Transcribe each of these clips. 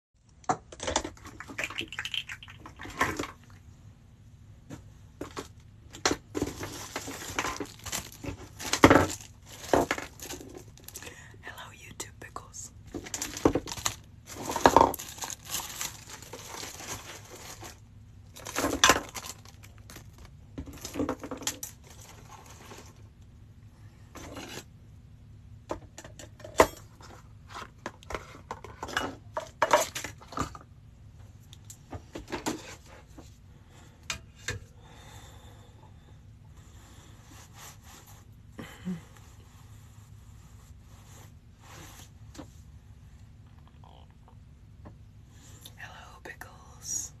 Hello, YouTube pickles. Hello, Pickles.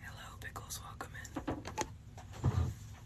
Hello, Pickles. Welcome in.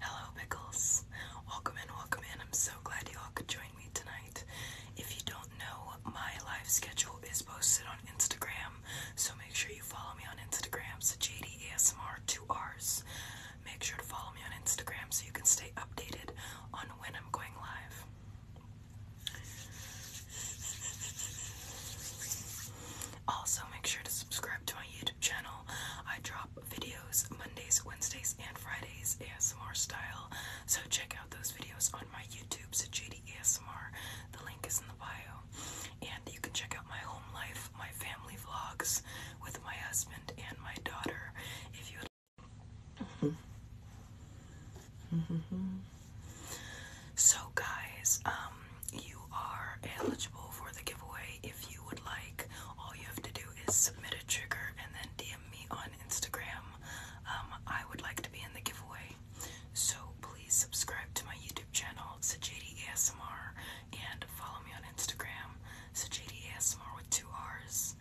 Hello, Pickles. Welcome in, welcome in. I'm so glad you all could join me tonight. If you don't know, my live schedule is posted on Instagram, so make sure you follow me on Instagram. So JDASMR2Rs. Make sure to follow me on Instagram so you can stay updated on when I'm going live. Also, make sure to subscribe to my YouTube channel. I drop videos Mondays, Wednesdays, and Fridays ASMR style. So check out those videos on my YouTube, JD ASMR. The link is in the bio. And you can check out my home life, my family vlogs with my husband and my daughter if you so, guys, um, you are eligible for the giveaway if you would like. All you have to do is submit a trigger and then DM me on Instagram. Um, I would like to be in the giveaway. So, please subscribe to my YouTube channel, Sajadi ASMR, and follow me on Instagram, Sajadi ASMR with two R's.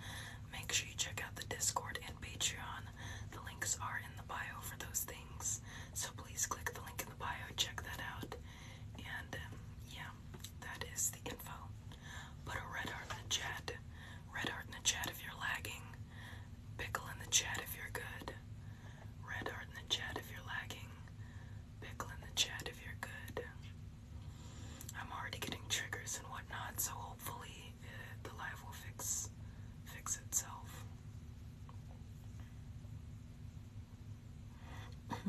Make sure you check out the Discord and Patreon. The links are in the bio for those things. So please click the link in the bio, check that out. And um, yeah, that is the info. Put a red heart in the chat. Red heart in the chat if you're lagging. Pickle in the chat if you're good. Red heart in the chat if you're lagging. Pickle in the chat if you're good. I'm already getting triggers and whatnot, so hopefully the life will fix fix itself.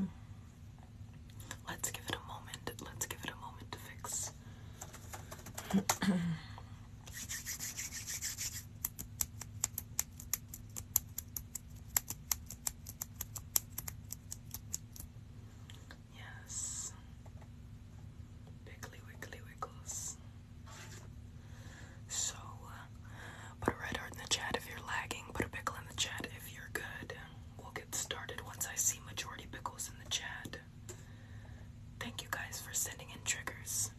Let's give it a moment. Let's give it a moment to fix. Yes. Piggly wiggly wiggles. So, uh, put a red heart in the chat if you're lagging. Put a pickle in the chat if you're good. We'll get started once I see majority pickles in the chat. Thank you guys for sending in triggers.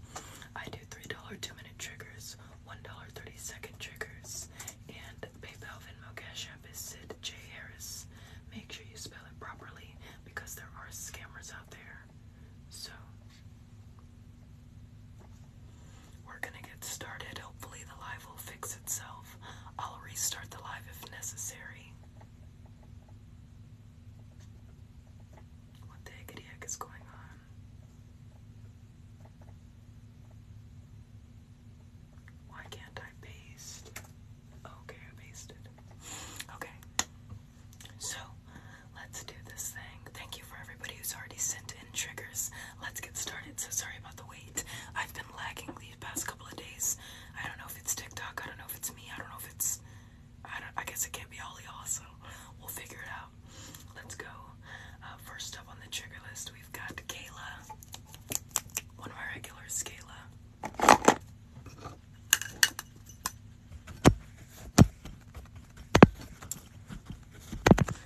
I do $3 two minute triggers, $1 30 second triggers, and PayPal Venmo Cash App is Sid J. Harris. Make sure you spell it properly because there are scammers out there. So we're gonna get started. Hopefully, the live will fix itself. I'll restart the live if necessary. What the heck is going on? Why can't I paste? Okay, I pasted. Okay. So, let's do this thing. Thank you for everybody who's already sent in triggers. Let's get started. So sorry about the wait. I've been lagging these past couple of days. I don't know if it's TikTok. I don't know if it's me. I don't know if it's. I, don't, I guess it can't be all y'all, so we'll figure it out. Let's go. Uh, first up on the trigger list, we've got Kayla. One of our regulars, Kayla.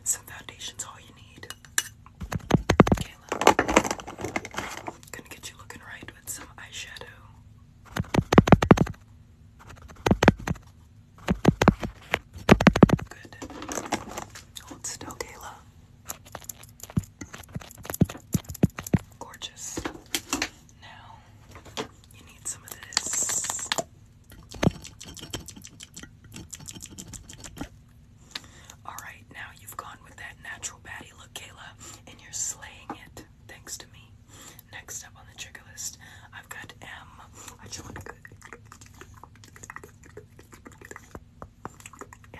Some foundation's all you need. Kayla. Gonna get you looking right with some eyeshadow. Good. Hold still, Kayla. Gorgeous. Now, you need some of this. Alright, now you've gone with that natural baddie look, Kayla, and you're slaying it thanks to me. Next up on the trigger list, I've got M. I just want to. M.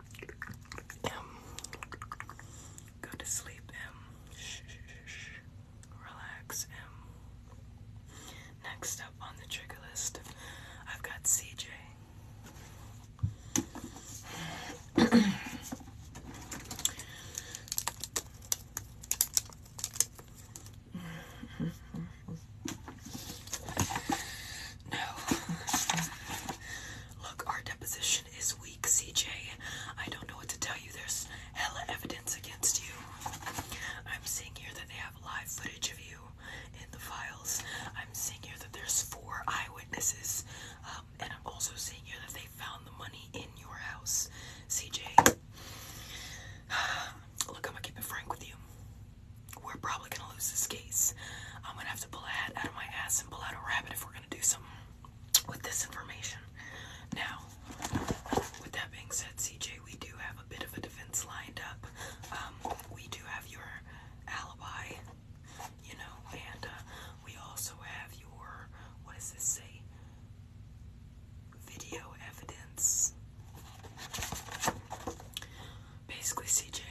Um, go to sleep, M. Um, shh, shh, shh. Relax, M. Um. Next up on the trigger list, I've got CJ. no, Look, our deposition is weak, CJ. I don't know what to tell you. There's hella evidence against you. I'm seeing here that they have live footage of you in the files. I'm seeing here that there's four eyewitnesses. Um, and I'm also seeing here that they found the money in your house, CJ. Look, I'm gonna keep it frank with you. We're probably gonna lose this case. I'm gonna have to pull a hat out of my ass and pull out a rabbit if we're do something with this information. Now, with that being said, CJ, we do have a bit of a defense lined up. Um, we do have your alibi, you know, and uh, we also have your what does this say? Video evidence. Basically, CJ,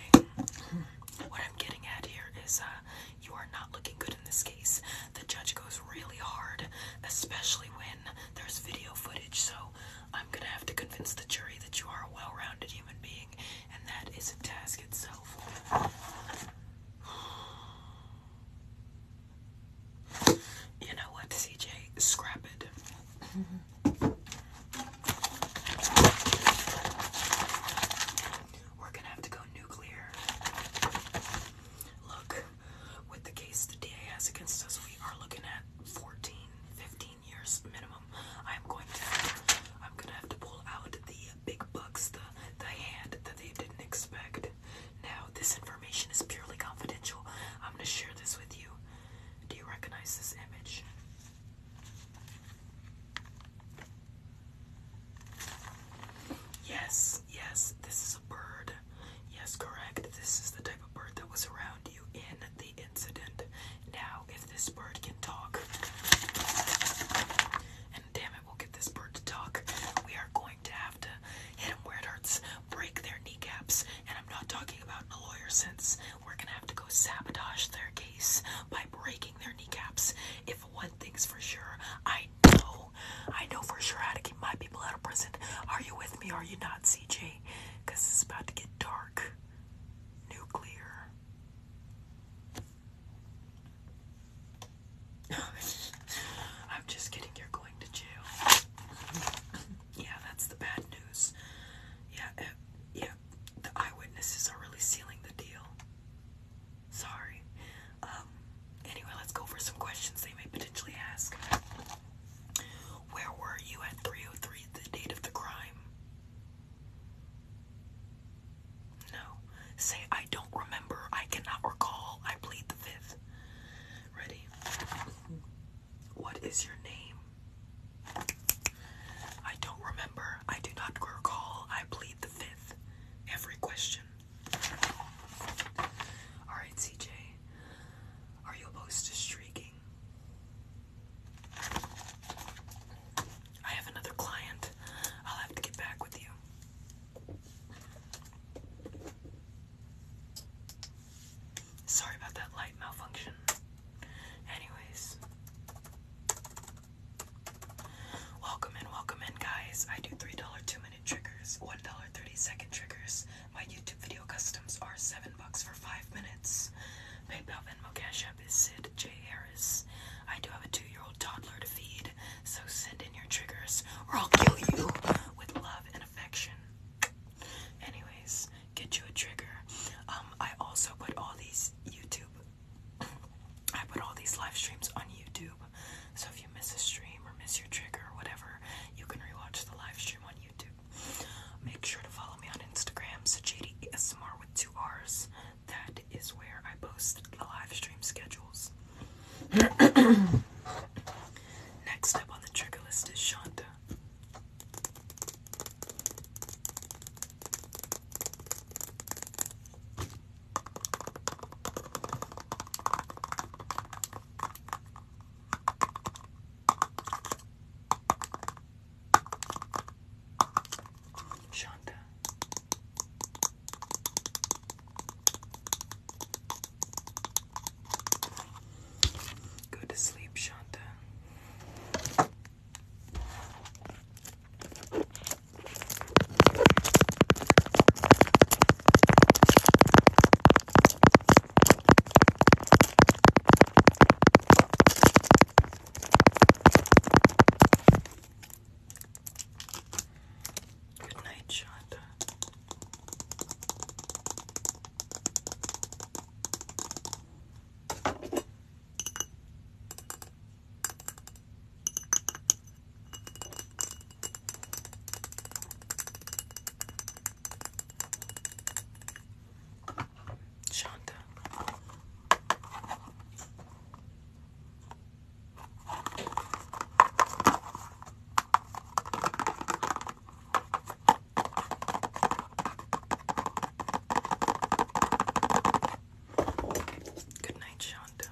what I'm getting at here is uh, you are not looking good in this case. The judge goes really hard, especially when there's video footage, so I'm gonna have to convince the jury that you are a well rounded human being, and that is a task itself. You know what, CJ? Scrap it. Mm-hmm. We're gonna have to go nuclear. Look, with the case the DA has against us, we are looking at 14, 15 years minimum. I'm going to, I'm gonna have to pull out the big bucks, the the hand that they didn't expect. Now, this information is purely confidential. I'm gonna share this with you. Do you recognize this image? Yes, yes, this is a bird. Yes, correct. This is the type of bird that was around you in the incident. Now, if this bird can talk, and damn it, we'll get this bird to talk, we are going to have to hit them where it hurts, break their kneecaps, and I'm not talking about in a lawyer sense. We're gonna have to go sabotage their case by breaking their kneecaps. If one thing's for sure, I know, I know for sure how to keep my people out of prison. Are you with me? Are you not, CJ? Because it's about to get dark. Nuclear. I'm just kidding, you're going to jail. yeah, that's the bad news. Yeah, eh, yeah, the eyewitnesses are really sealing the deal. Sorry. Um, anyway, let's go for some questions they may potentially ask. Where were you at 303, the date of the crime? No. Say, I don't remember. I cannot recall. I plead the fifth. Ready? What is your name? I don't remember. I do not recall. I plead the fifth every question. Alright, CJ, are you opposed to streaking? I have another client. I'll have to get back with you. Sorry about that light malfunction. Anyways, Welcome in, welcome in, guys. I do $3 two minute triggers, $1 30 second triggers. My YouTube video customs are 7 bucks for 5 minutes. PayPal Venmo Cash App is Sid J. Harris. I do have a two year old toddler to feed, so send in your triggers or I'll kill you with love and affection. Anyways, get you a trigger. Um, I also put all these YouTube I put all these live streams on YouTube. So if you miss a stream or miss your trigger or whatever, you can rewatch the live stream on YouTube. Make sure to follow me on Instagram, Sajidi ASMR with two R's. That is where I post the live stream schedules. Next up on the trigger list is Shonda. Shanta. Go to sleep, Shanta. Good night, Shonda. Shanta. Good night, Shanta.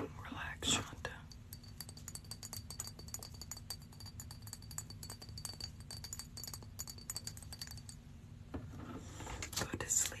Relax, Shonda. Go to sleep.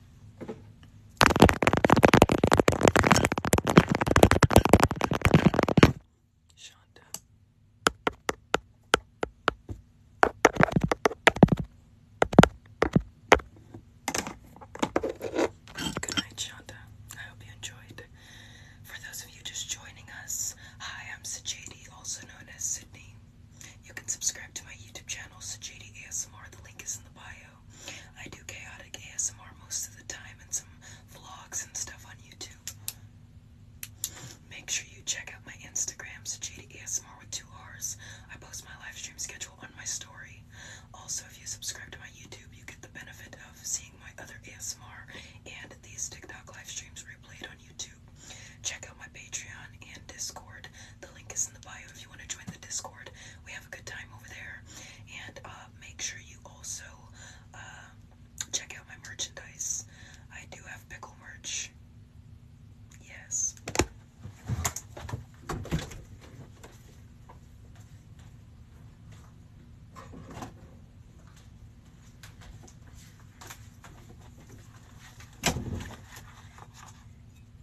Shonda. Good night, Shonda. I hope you enjoyed. For those of you just joining us, hi, I'm Sajadi, also known as Sydney. You can subscribe to my YouTube channel, so J D A S M R. The link is in the bio. I do chaotic ASMR most of the time and some vlogs and stuff on YouTube. Make sure you check out my Instagram, so J D A S M R with two R's. I post my live stream schedule on my story. Also, if you subscribe to my YouTube, you get the benefit of seeing my other ASMR and these TikTok live streams replayed on YouTube. Check out my Patreon and Discord. The link is in the bio if you want to join the Discord. We have a good time over there. And uh, make sure you also uh, check out my merchandise. I do have pickle merch. Yes.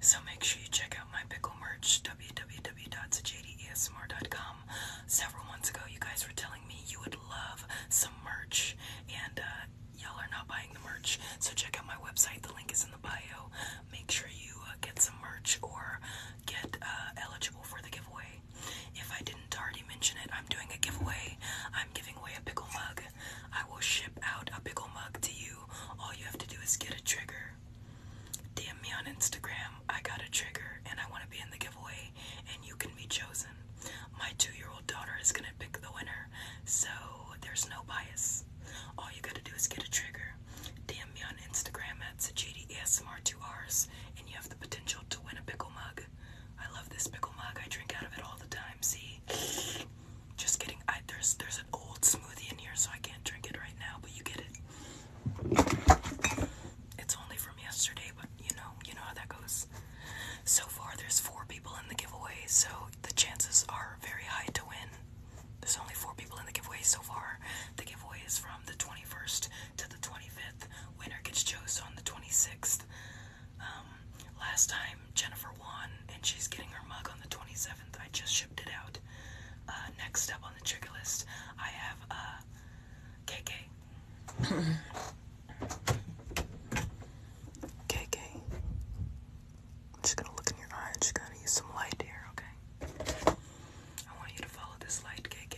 So make sure you check out my pickle merch, www.jdesmr.com. Several months ago, you guys were telling me you would love some merch, and uh, y'all are not buying the merch. So check out my website, the link is in the bio. Make sure you uh, get some merch or get uh, eligible for the giveaway. If I didn't already mention it, I'm doing a giveaway. I'm giving away a pickle mug. I will ship out a pickle mug to you. All you have to do is get a trigger. DM me on Instagram. I got a trigger and I want to be in the giveaway, and you can be chosen. My two year old daughter is going to pick the winner, so there's no bias. All you got to do is get a trigger. DM me on Instagram at SajidASMR2Rs, and you have the potential to win a pickle mug. I love this pickle mug, I drink out of it all the time. See? Just kidding. I, there's there's an old smoothie in here, so I can't drink it right now. But you get it. It's only from yesterday, but you know you know how that goes. So far, there's four people in the giveaway, so the chances are very high to win. There's only four people in the giveaway so far. The giveaway is from the 21st to the 25th. Winner gets chosen on the 26th. Um, last time Jennifer won, and she's getting her mug on the 27th. I just shipped it out. Uh, next up on the trigger list, I have uh, KK. KK. I'm just gonna look in your eye. just gonna use some light here, okay? I want you to follow this light, KK.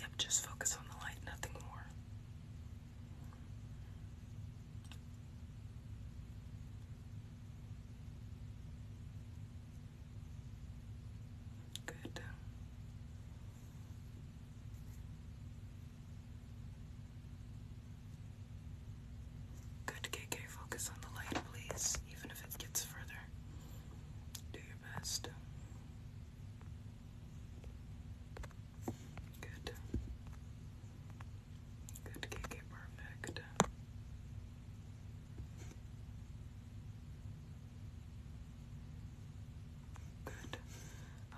Yep, just focus on the light, nothing more. Good. Good, KK. Focus on the light, please, even if it gets further. Do your best. Good. Good, KK, perfect. Good.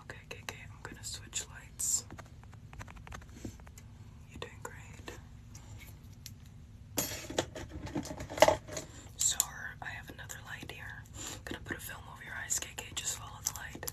Okay, KK, I'm gonna switch lights. You're doing great. So, I have another light here. gonna put a film over your eyes, KK. Just follow the light.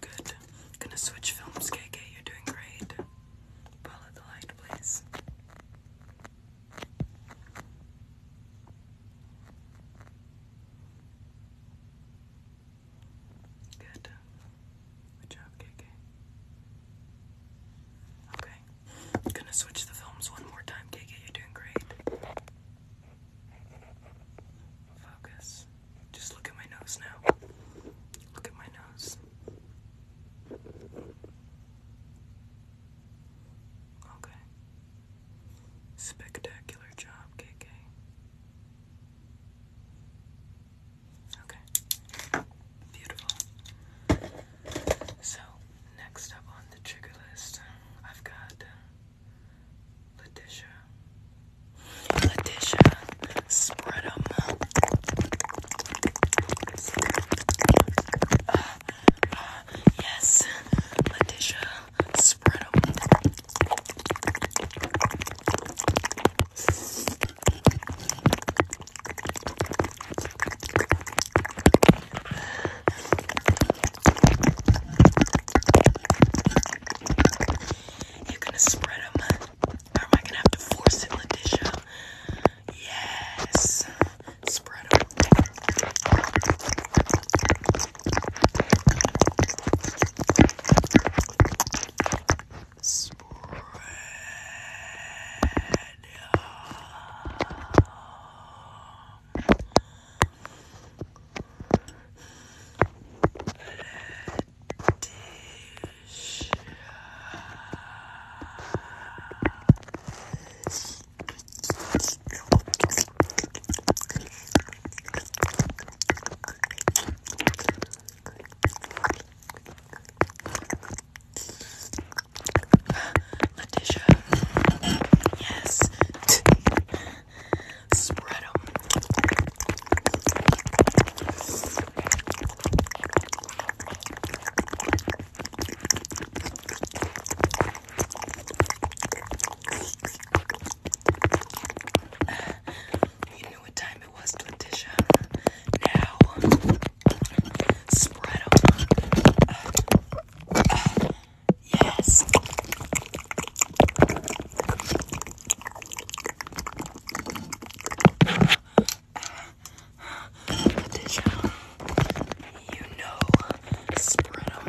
Good. Gonna switch films, KK. You're doing great. Follow the light, please. Good. Good job, KK. Okay. I'm gonna switch the films one more time, KK. You're doing great. Focus. Just look at my nose now. Look at my nose. Okay. Spectacular job, KK. Okay. Beautiful. So, next up on the trigger list, I've got um, Letitia. Letitia. Spread them. Uh, uh, yes. Letitia. Spread them. You're gonna spread them, or am I gonna have to force it, Letitia? Yes, spread them. Letitia. Yes. Spread them. You knew what time it was, Letitia. Now, spread them. yes. Petition. You know, spread them.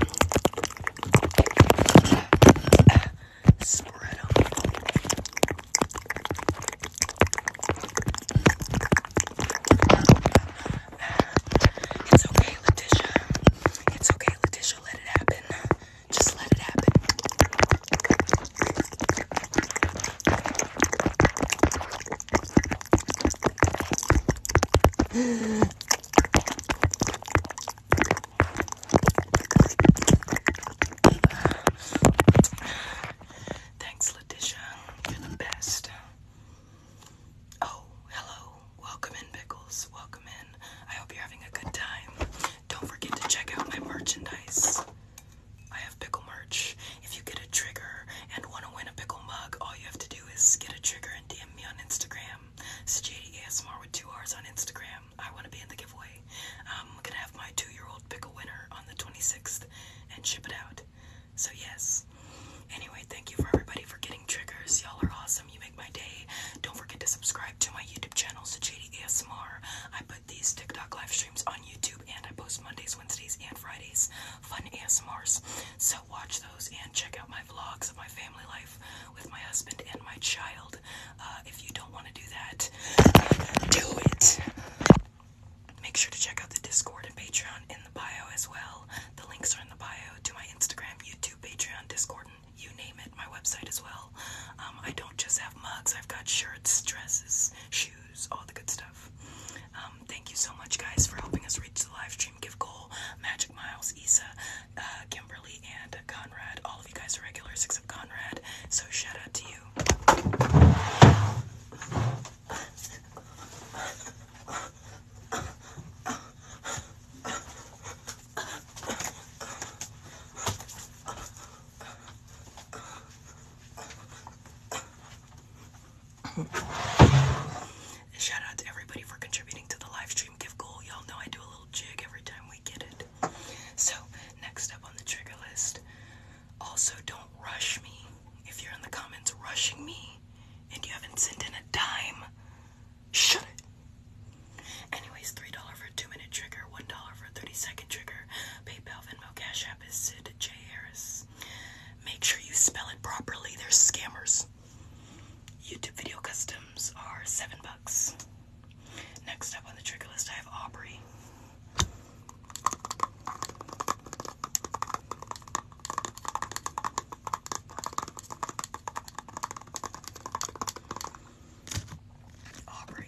It's okay, Letitia. It's okay, Letitia. Let it happen. Just let it happen. Thanks, Letitia. You're the best. Oh, hello. Welcome in, Pickles. Welcome in. I hope you're having a good time. Don't forget to check out my merchandise. I have pickle merch. If you get a trigger and want to win a pickle mug, all you have to do is get a trigger and DM me on Instagram. It's JDASMR with two R's on Instagram. I want to be in the giveaway. I'm going to have my two year old pickle winner on the 26th and ship it out. So, yes. Anyway, thank you for everybody for getting triggers. Y'all are awesome. You make my day. Don't forget to subscribe to my YouTube channel, Sajidi ASMR. I put these TikTok live streams on YouTube and I post Mondays, Wednesdays, and Fridays. Fun ASMRs. So watch those and check out my vlogs of my family life with my husband and my child. Uh, if you don't want to do that, do it. Make sure to check out the Discord and Patreon in the bio as well. The links are in the bio to my Instagram, YouTube, Patreon, Discord, you name it, my website as well. Um, I don't just have mugs, I've got shirts, dresses, shoes, all the good stuff. Um, thank you so much, guys, for helping us reach the live stream. Give goal, Magic Miles, Isa, uh, Kimberly, and Conrad. All of you guys are regulars except Conrad, so shout out to you. Shout out to everybody for contributing to the livestream stream gift goal. Y'all know I do a little jig every time we get it. So, next up on the trigger list, also don't rush me. If you're in the comments rushing me and you haven't sent in a dime, shut Anyways, $3 for 2 minute trigger, $1 for 30 second trigger. PayPal, Venmo, Cash App is Sid J. Harris. Make sure you spell it properly, they're scammers. YouTube video customs are 7 bucks. Next up on the trigger list, I have Aubrey. Aubrey.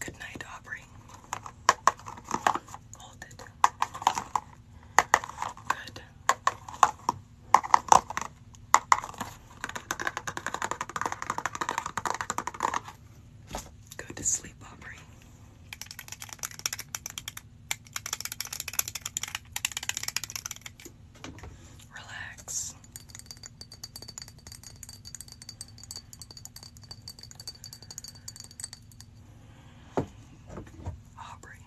Good night, Aubrey. Hold it. Good. Go to sleep, Aubrey relax. Aubrey.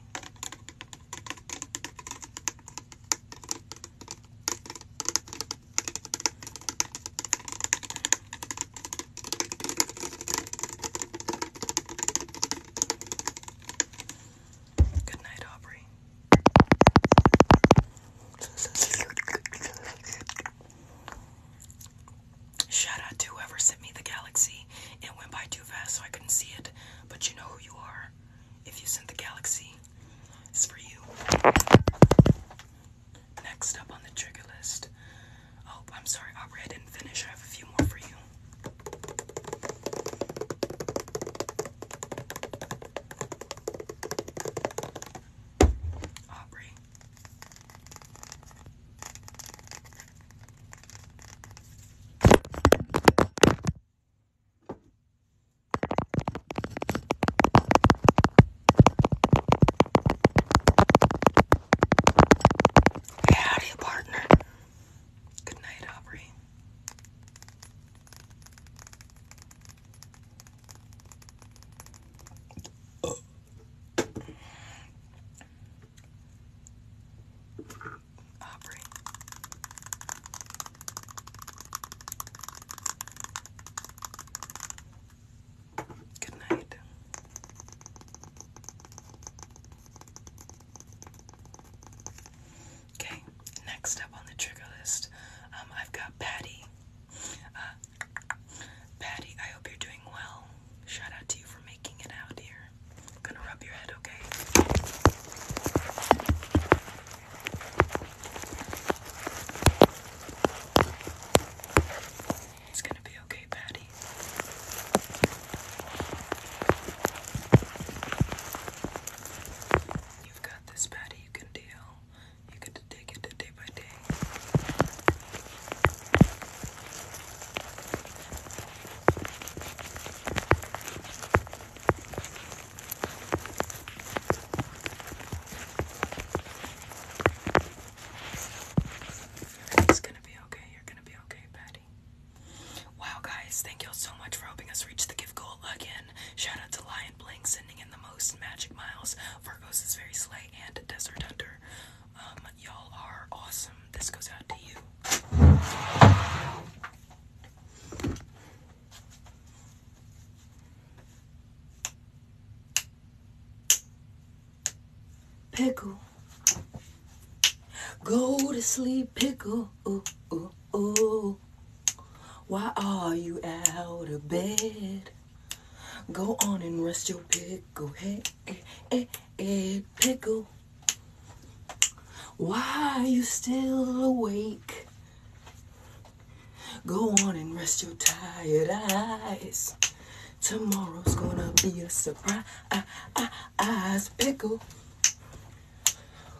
Good night, Aubrey. Shout out to whoever sent me the galaxy. It went by too fast, so I couldn't see it. But you know who you are. If you sent the galaxy, it's for you. Next up on the trigger list. Oh, I'm sorry, I didn't finish. I have a few more for you. Aubrey. howdy, partner. Good night, Aubrey. Aubrey. Good night. Okay, next up on the trigger list, um, I've got Patty. Uh, Patty, I hope you're doing well. Shout out to you for making it out here. I'm gonna rub your head, okay? It's gonna be okay, Patty. You've this, Patty. You can deal. You get to take it day by day. It's gonna be okay. You're gonna be okay, Patty. Wow, guys, thank y'all so much for helping us reach the gift goal again again. Shout out to Lion Blink sending in the most magic miles. Virgos is very slay and Desert Hunter. Um, y'all are awesome. This goes out to you. Pickle. Go to sleep, pickle. Why are you out of bed? Go on and rest your pickle head, head eh, eh, eh, pickle. Why are you still awake? Go on and rest your tired eyes. Tomorrow's gonna be a surprise, pickle.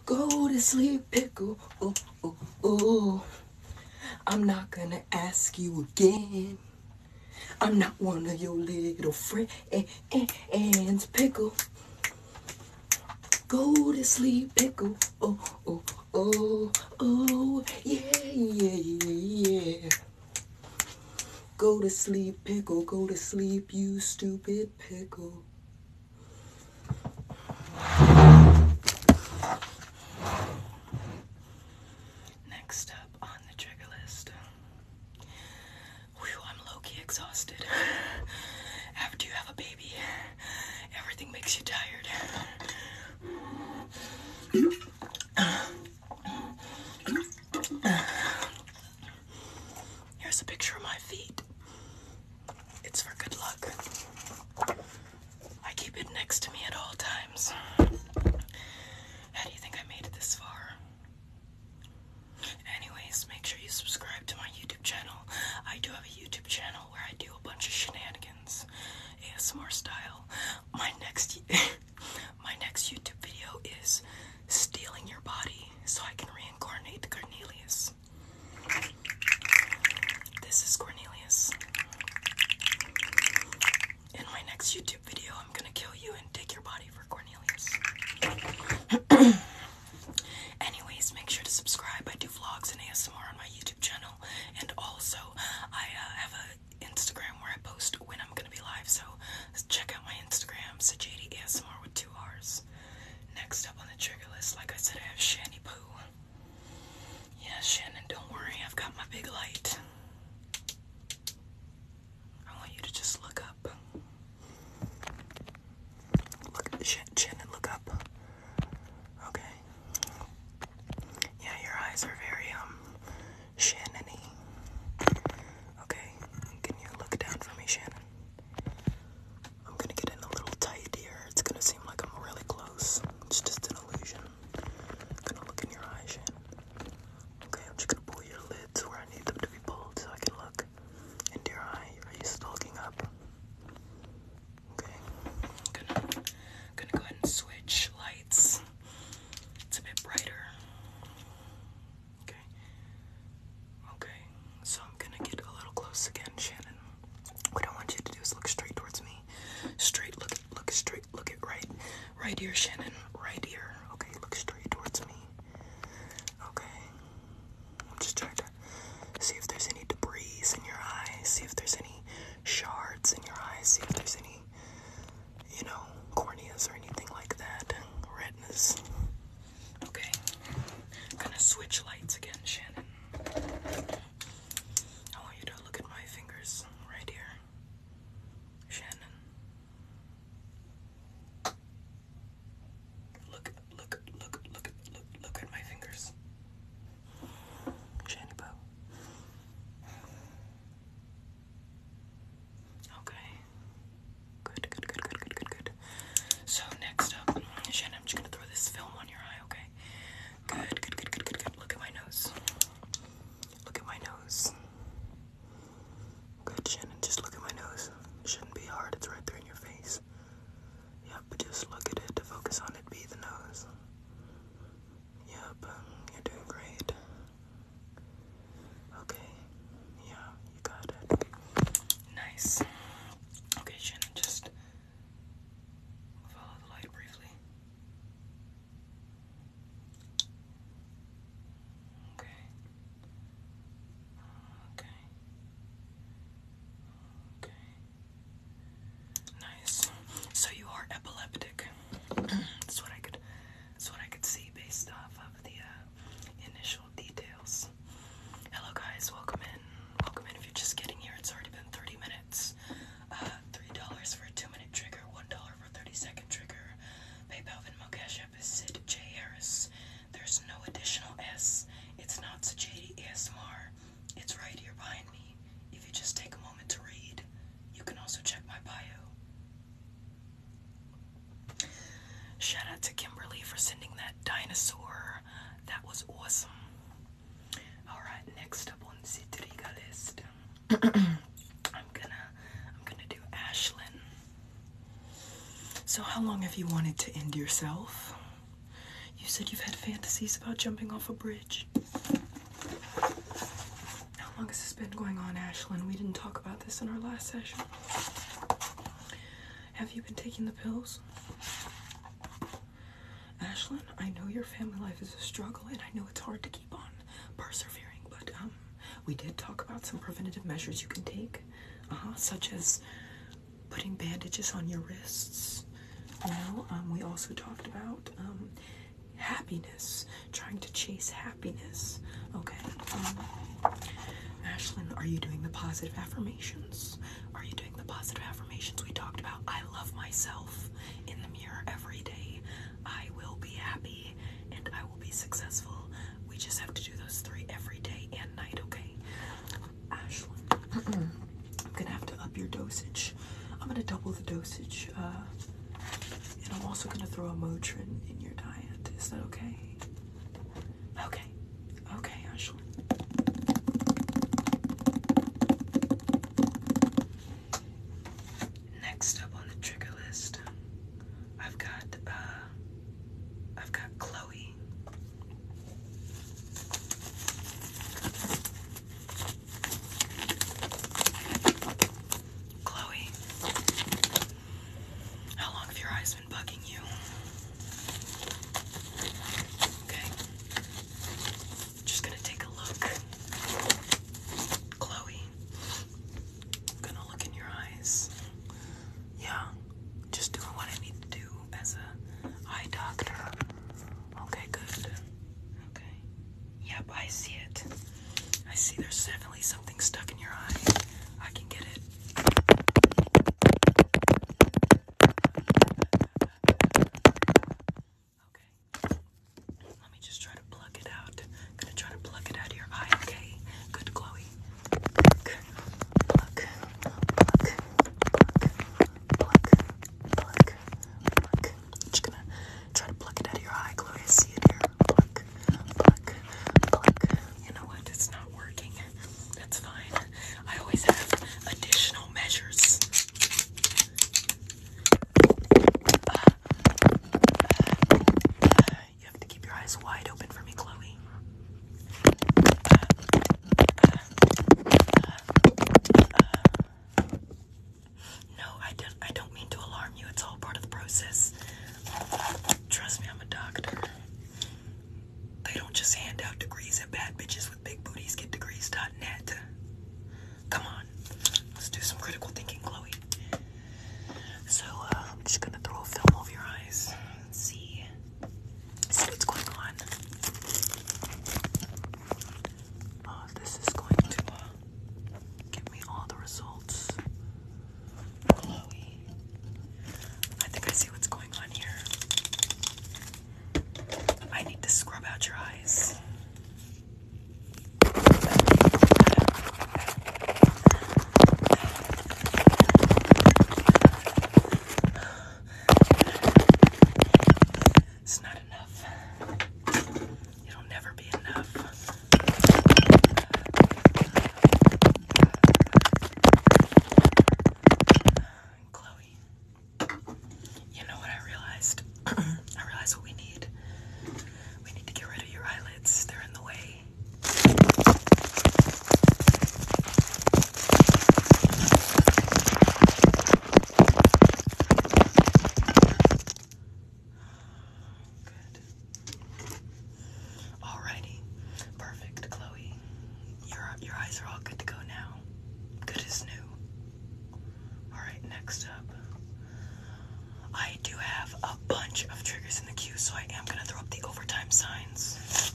Go to sleep, pickle. Oh, oh, oh. I'm not gonna ask you again. I'm not one of your little friends, pickle. Go to sleep, pickle. Oh, oh, oh, oh, yeah, yeah, yeah, yeah. Go to sleep, pickle. Go to sleep, you stupid pickle. Next up on the trigger list. I'm low key exhausted. After you have a baby, everything makes you tired. Here's a picture of my feet. It's for good luck. I keep it next to me at all times. How do you think I made it this far? Anyways, make sure you subscribe to my YouTube channel. I do have a YouTube channel where I do a bunch of shenanigans, ASMR style. My next, my next YouTube video is stealing your body so I can reincarnate Cornelius. This is Cornelius. In my next YouTube video, I'm gonna kill you and take your body for Cornelius. Anyways, make sure to subscribe. I do vlogs and ASMR on my YouTube channel, and also I uh, have an Instagram where I post when I'm gonna be live. So check out my Instagram, so JD ASMR with two R's. Next up on the trigger list, like I said, I have Shanny Poo. Yeah, Shannon, don't worry. I've got my big light. I want you to just look up. Look, Shannon, look up. Okay. Yeah, your eyes are very um, Shannony. Okay, can you look down for me, Shannon? I'm gonna get in a little tight here. It's gonna seem like I'm really close. It's just an illusion. I'm gonna look in your eyes, Okay, I'm just gonna pull your lids where I need them to be pulled so I can look into your eye. Are you still looking up? Okay. gonna, gonna go ahead and switch lights. It's a bit brighter. Okay. Okay. So I'm gonna get a little close again, Shannon. What I want you to do is look straight towards me. Straight, look, look straight, look at right, right here, Shannon, right here. Okay, look straight towards me. Okay, I'm just trying to see if there's any debris in your eyes, see if there's any shards in your eyes, see if there's any, you know, corneas or anything like that, redness. Okay, I'm gonna switch lights again, Shannon. I want you to look at my fingers right here, Shannon. Look, look, look, look, look, look at my fingers, Shannon Okay. Good, good, good, good, good, good, good. So next up, Shannon, I'm just gonna throw this film on your eye, okay? Good, good, good, good, good, good. Look at my nose. Look at my nose. Good, Shannon. Just look at my nose. Shouldn't be hard. It's right there in your face. Yep, just look at it. to Focus on it. Be the nose. Yep, you're doing great. Okay. Yeah, you got it. Nice. Okay, Shannon, just Follow the light briefly. Okay. Okay. Okay. Nice. So you are epileptic. that's what I could. That's what I could see based off of the uh, initial details. Hello, guys. Welcome in. Welcome in. If you're just getting here, it's already been 30 minutes. Uh, three dollars for a two-minute trigger. One dollar for thirty-second trigger. PayPal Venmo Cash App is Sid J Harris. There's no additional S. It's not Sajadi ASMR. It's right here behind me. If you just take a moment to read, you can also check my bio. Shout out to Kimberly for sending that dinosaur. That was awesome. Alright, next up on the trigger list. Um, I'm gonna I'm gonna do Ashlyn. So how long have you wanted to end yourself? You said you've had fantasies about jumping off a bridge. How long has this been going on, Ashlyn? We didn't talk about this in our last session. Have you been taking the pills? Ashlyn, I know your family life is a struggle and I know it's hard to keep on persevering, but um, we did talk about some preventative measures you can take, uh-huh, such as putting bandages on your wrists. You um, we also talked about um, happiness, trying to chase happiness. Okay. Ashlyn, are you doing the positive affirmations? Are you doing the positive affirmations we talked about? I love myself in the mirror every day. I will be happy and I will be successful. We just have to do those three every day and night, okay? Ashlyn, I'm gonna have to up your dosage. I'm gonna double the dosage. Uh, and I'm also gonna throw a Motrin in your diet. Is that okay? Okay. Okay, Ashley. Next up on the trigger list, I've got uh, I've got Chloe. Chloe, how long have your eyes been bugging you? Okay. Just gonna take a look. Chloe, gonna look in your eyes. Yeah, just doing what I need to do as a eye doctor. Okay, good. Okay. Yep, I see it. I see there's definitely something stuck in your eye. I can get it. Okay. Let me just try to pluck it out. I'm gonna try to pluck it out of your eye, okay? Good, Chloe. Pluck, pluck, pluck, pluck, pluck, pluck. Just gonna try to pluck it out of your eye, Chloe. see it here. Pluck, pluck, pluck. You know what? It's not working. That's fine. I always have additional measures you have to keep your eyes wide open for me, Chloe. No, I don't. I don't mean to alarm you. It's all part of the process. Trust me, I'm a doctor. They don't just hand out degrees at bad bitches with big booties. Get degrees.net. Come on. Let's do some critical thinking, Chloe. So, uh, I'm just gonna throw a film over your eyes see, see what's going on. Uh, this is going to uh, give me all the results. Chloe. I think I see what's going on here. I need to scrub out your eyes. It's not enough. It'll never be enough. Chloe, you know what I realized? I realized what we need. We need to get rid of your eyelids. They're in the way. Good. Alrighty. Perfect, Chloe. Your your eyes are all good to go now. Good as new. Alright, next up. I do have a bunch of triggers in the queue, so I am going to throw up the overtime signs.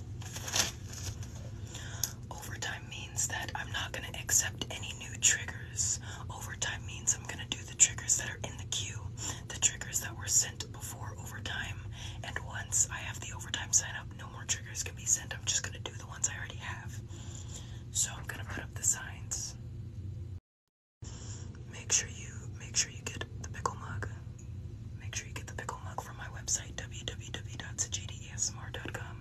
Overtime means that I'm not going to accept any new triggers. Overtime means I'm going to do the triggers that are in the queue, the triggers that were sent before overtime. And once I have the overtime sign up, no more triggers can be sent. I'm just going to do the ones I already have. So I'm gonna put up the signs. Make sure you make sure you get the pickle mug. Make sure you get the pickle mug from my website www.sajdeasmr.com.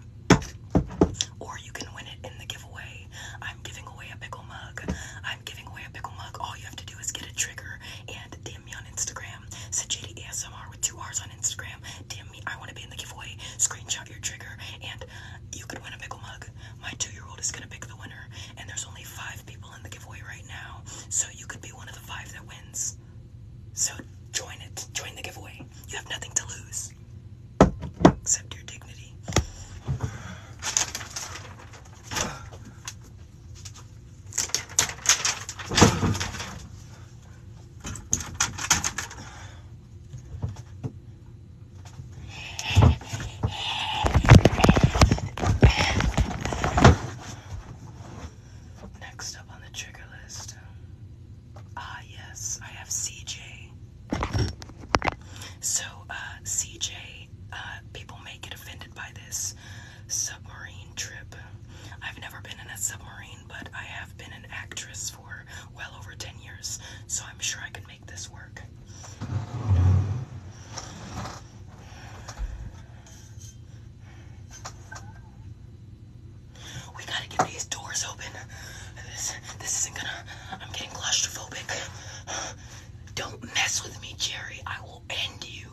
Or you can win it in the giveaway. I'm giving away a pickle mug. I'm giving away a pickle mug. All you have to do is get a trigger and DM me on Instagram. Sajidi ASMR with two R's on Instagram. DM I want to be in the giveaway. Screenshot your trigger, and you could win a pickle mug. My two-year-old is gonna pick the winner, and there's only five people in the giveaway right now, so you could be one of the five that wins. So join it. Join the giveaway. You have nothing to lose except your dignity. Next up on the trigger list. Ah, yes, I have CJ. So, uh, CJ, uh, people may get offended by this submarine trip. I've never been in a submarine, but I have been an actress for well over 10 years, so I'm sure I can make this work. We gotta get these doors open. This, this isn't gonna. I'm getting claustrophobic. Don't mess with me, Jerry. I will end you.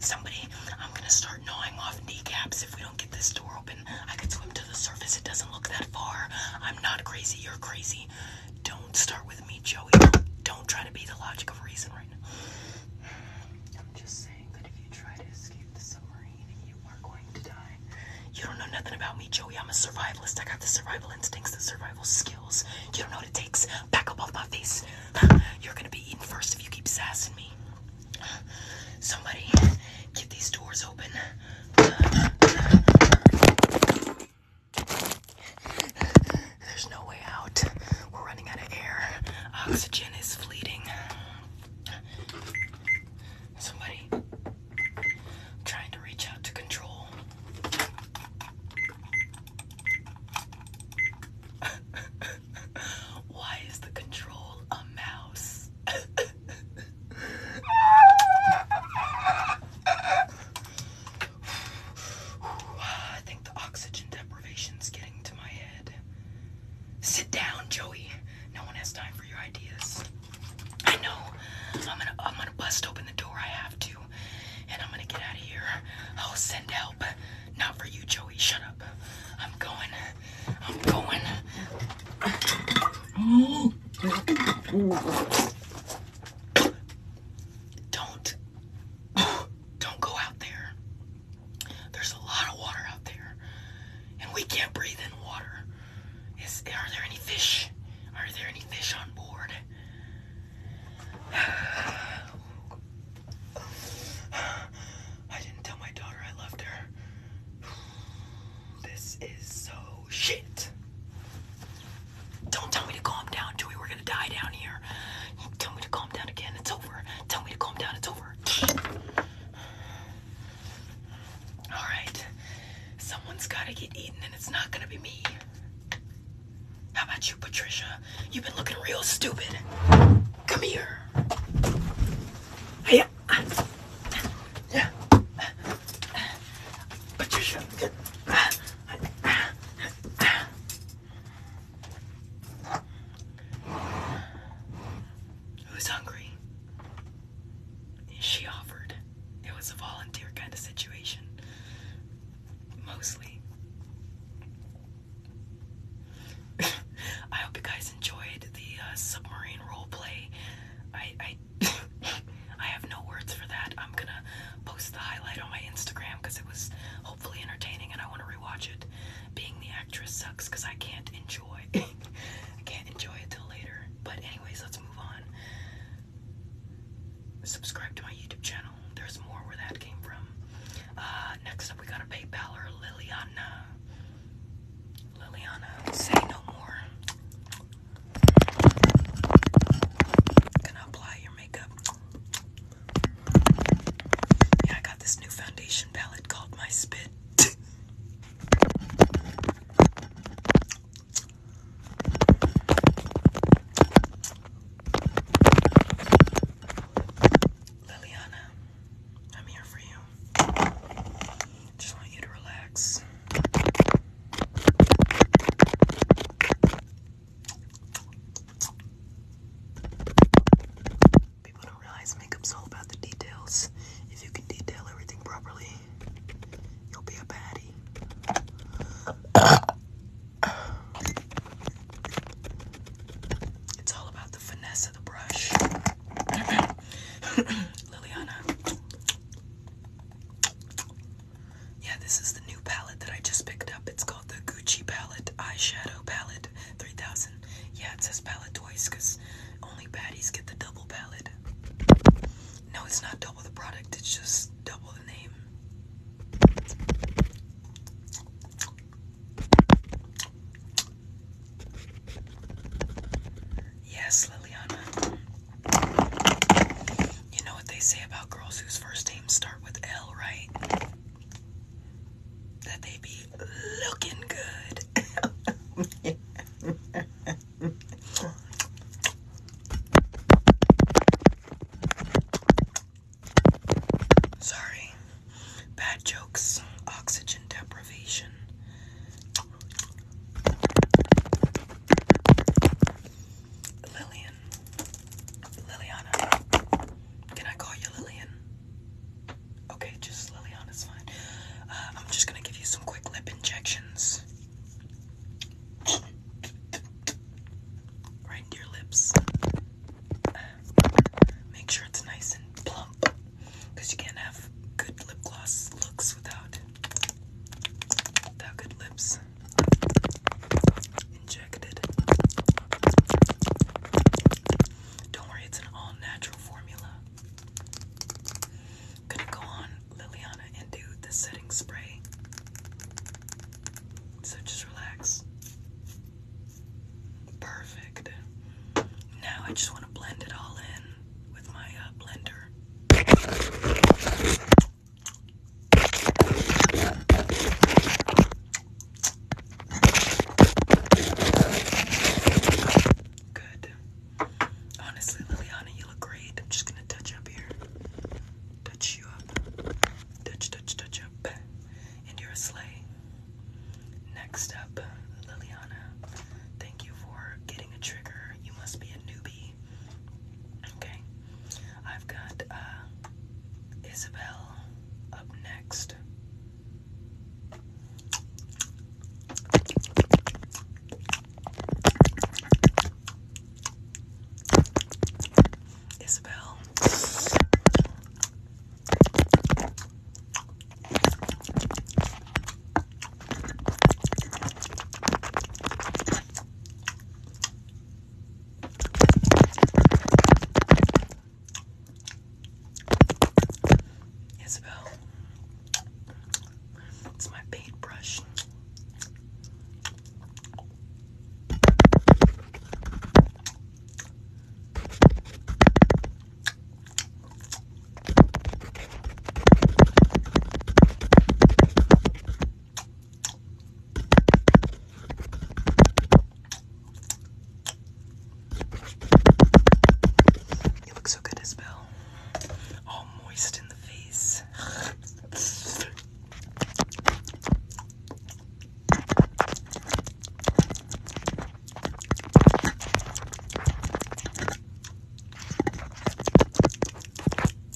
Somebody, I'm gonna start gnawing off kneecaps if we don't get this door I could swim to the surface. It doesn't look that far. I'm not crazy. You're crazy. Don't start with me, Joey. Don't try to be the logic of reason right now. I'm just saying that if you try to escape the submarine, you are going to die. You don't know nothing about me, Joey. I'm a survivalist. I got the survival instincts, the survival skills. You don't know what it takes. Back up off my face. You're gonna be eaten first if you keep sassing me. Somebody, get these doors open. There's no way out. We're running out of air. Oxygen is fleeting. Somebody trying to reach out to control. Why is the control a mouse? I think the oxygen deprivation's getting to my head. Sit down, Joey. No one has time for your ideas. I know. I'm gonna I'm gonna bust open the door. I have to, and I'm gonna get out of here. I'll send help. Not for you, Joey. Shut up. I'm going. I'm going. Oh. Don't. don't go out there. There's a lot of water out there. And we can't breathe in water. Is are there any fish? Are there any fish on board? I didn't tell my daughter I loved her. This is so shit. Don't tell me to calm down, Dewey. We're gonna die down here. Tell me to calm down again. It's over. Tell me to calm down. It's over. All right. Someone's gotta get eaten, and it's not gonna be me. How about you, Patricia? You've been looking real stupid. Come here. Hey. Yeah. But Who's hungry? She offered. It was a volunteer kind of situation. Mostly. I hope you guys enjoyed the uh, submarine role play. I I have no words for that. I'm gonna post the highlight on my Instagram because it was hopefully entertaining and I want to rewatch it. Being the actress sucks because I can't enjoy. I can't enjoy it till later. But anyways, let's move on. Subscribe to my YouTube channel. There's more where that came from. Uh, next up, we got a PayPaler, Liliana. Liliana, say no more. Gonna apply your makeup. Yeah, I got this new foundation palette called My Spit. Liliana, I'm here for you. Just want you to relax. People don't realize makeup's all about the details. If you can detail everything properly, you'll be a baddie. It's all about the finesse of the brush. Liliana, yeah, this is the new palette that I just picked up. It's called the Gucci palette, eyeshadow palette 3000. Yeah, it says palette twice only baddies get the double palette. No, it's not double the product, it's just double the name. Yes, Liliana. You know what they say about girls whose first names start with L, right? That they be looking good. Sorry. Bad jokes, oxygen deprivation. Lillian. Liliana. Can I call you Lillian? Okay, just Liliana's fine. Uh, I'm just gonna give you some quick lip injections. Right into your lips. make sure it's nice and plump. you can't have good lip gloss looks without Thou good lips injected. Don't worry, it's an all natural formula. gonna go on Liliana and do the setting spray. So just relax. Perfect. Now I just want to blend it all in with my uh, blender. Good. Honestly, Liliana, you look great. I'm just gonna touch up here. Touch you up. Touch, touch, touch up. And you're a slave. Next up, Liliana, thank you for getting a trigger. You must be a newbie. Okay, I've got uh, Isabel up next. Isabel. Isabel, it's my paintbrush. You look so good, Isabel. All moist in the face.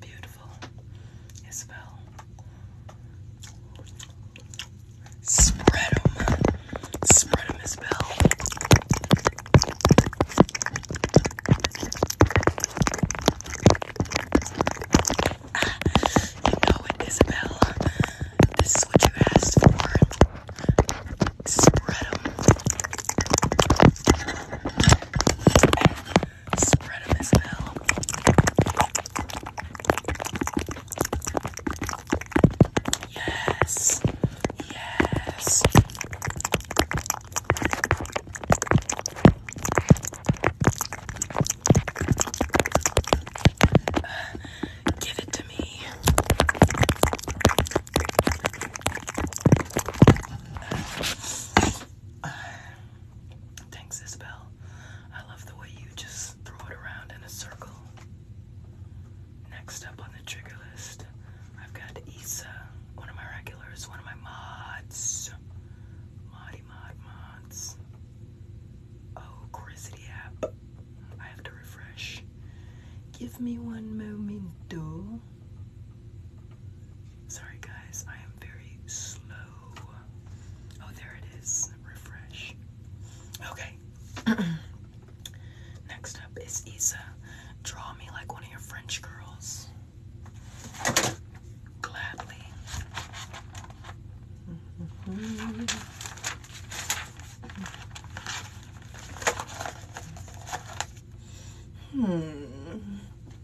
Beautiful. It fell. Spread Isabel. you know it, Isabel. This is what you asked for. Spread Spread a as well. Yes. Yes. give it to me. Thanks, Isabel. I love the way you just throw it around in a circle. Next up on the trigger list, I've got Issa, one of my regulars, one of my mods. Moddy Mod Mods. Oh, Chrisity app. I have to refresh. Give me one momento. Sorry, guys, I am very slow. Oh, there it is. Refresh. Okay. Next up is Isa. Draw me like one of your French girls. Gladly. Hmm.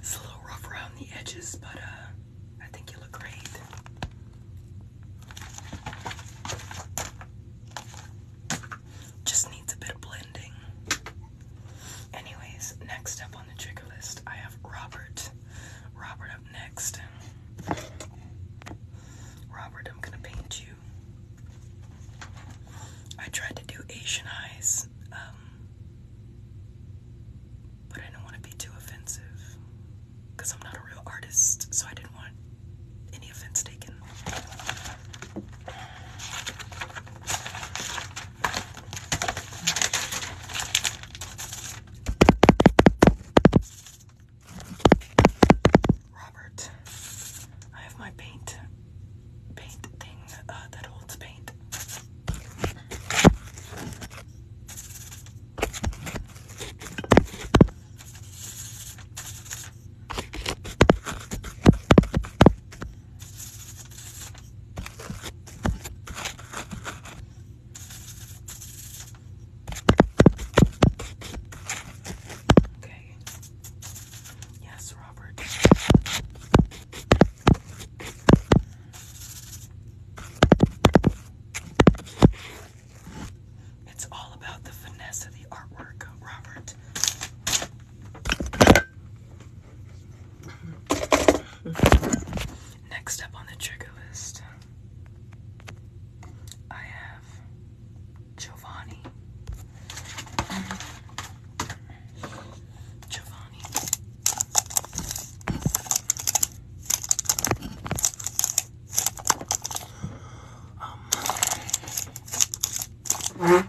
It's a little rough around the edges, but uh, I think you look great. Just needs a bit of blending. Anyways, next up on the trigger list, I have Robert. Robert up next. Robert, I'm gonna paint you. I tried to do Asian eyes, um, but I don't want to be too offensive I'm not a real artist, so I didn't want any offense taken. Robert, I have my paint, paint thing uh, that holds paint. Okay. Yes, Robert. It's all about the finesse of the artwork, Robert. Next up on the trigger list, I have have Giovanni. Giovanni. Um. Giovanni.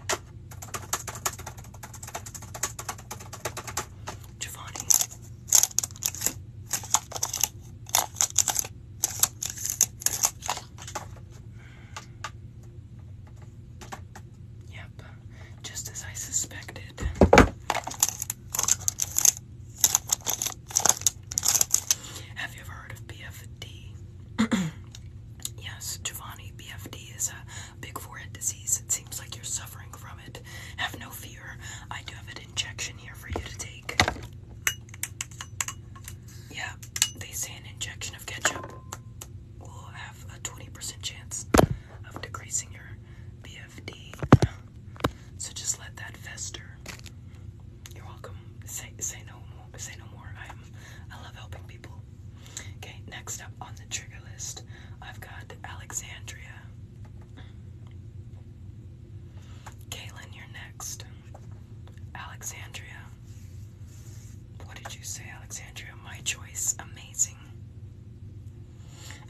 Yep, just as I suspected. Have you ever heard of BFD? yes, Giovanni, BFD is a big forehead disease. It seems like you're suffering from it. Have no fear. I do have an injection here for you to take. Yeah, they say an injection of ketchup will have a 20% chance of decreasing your BFD. So just let that fester. You're welcome. Say say no more. Say no more. I'm I love helping people. Okay, next up on the trigger list, I've got Alexandria. Kaylin, you're next. Alexandria. What did you say, Alexandria? My choice. Amazing.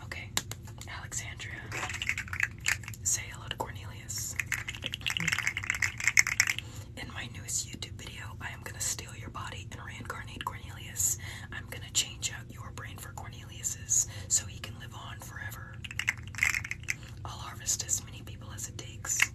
Okay, Alexandria. Say hello to Cornelius. In my newest YouTube video, I am gonna steal your body and reincarnate Cornelius. I'm gonna change out your brain for Cornelius's so he can live on forever. I'll harvest as many people as it takes.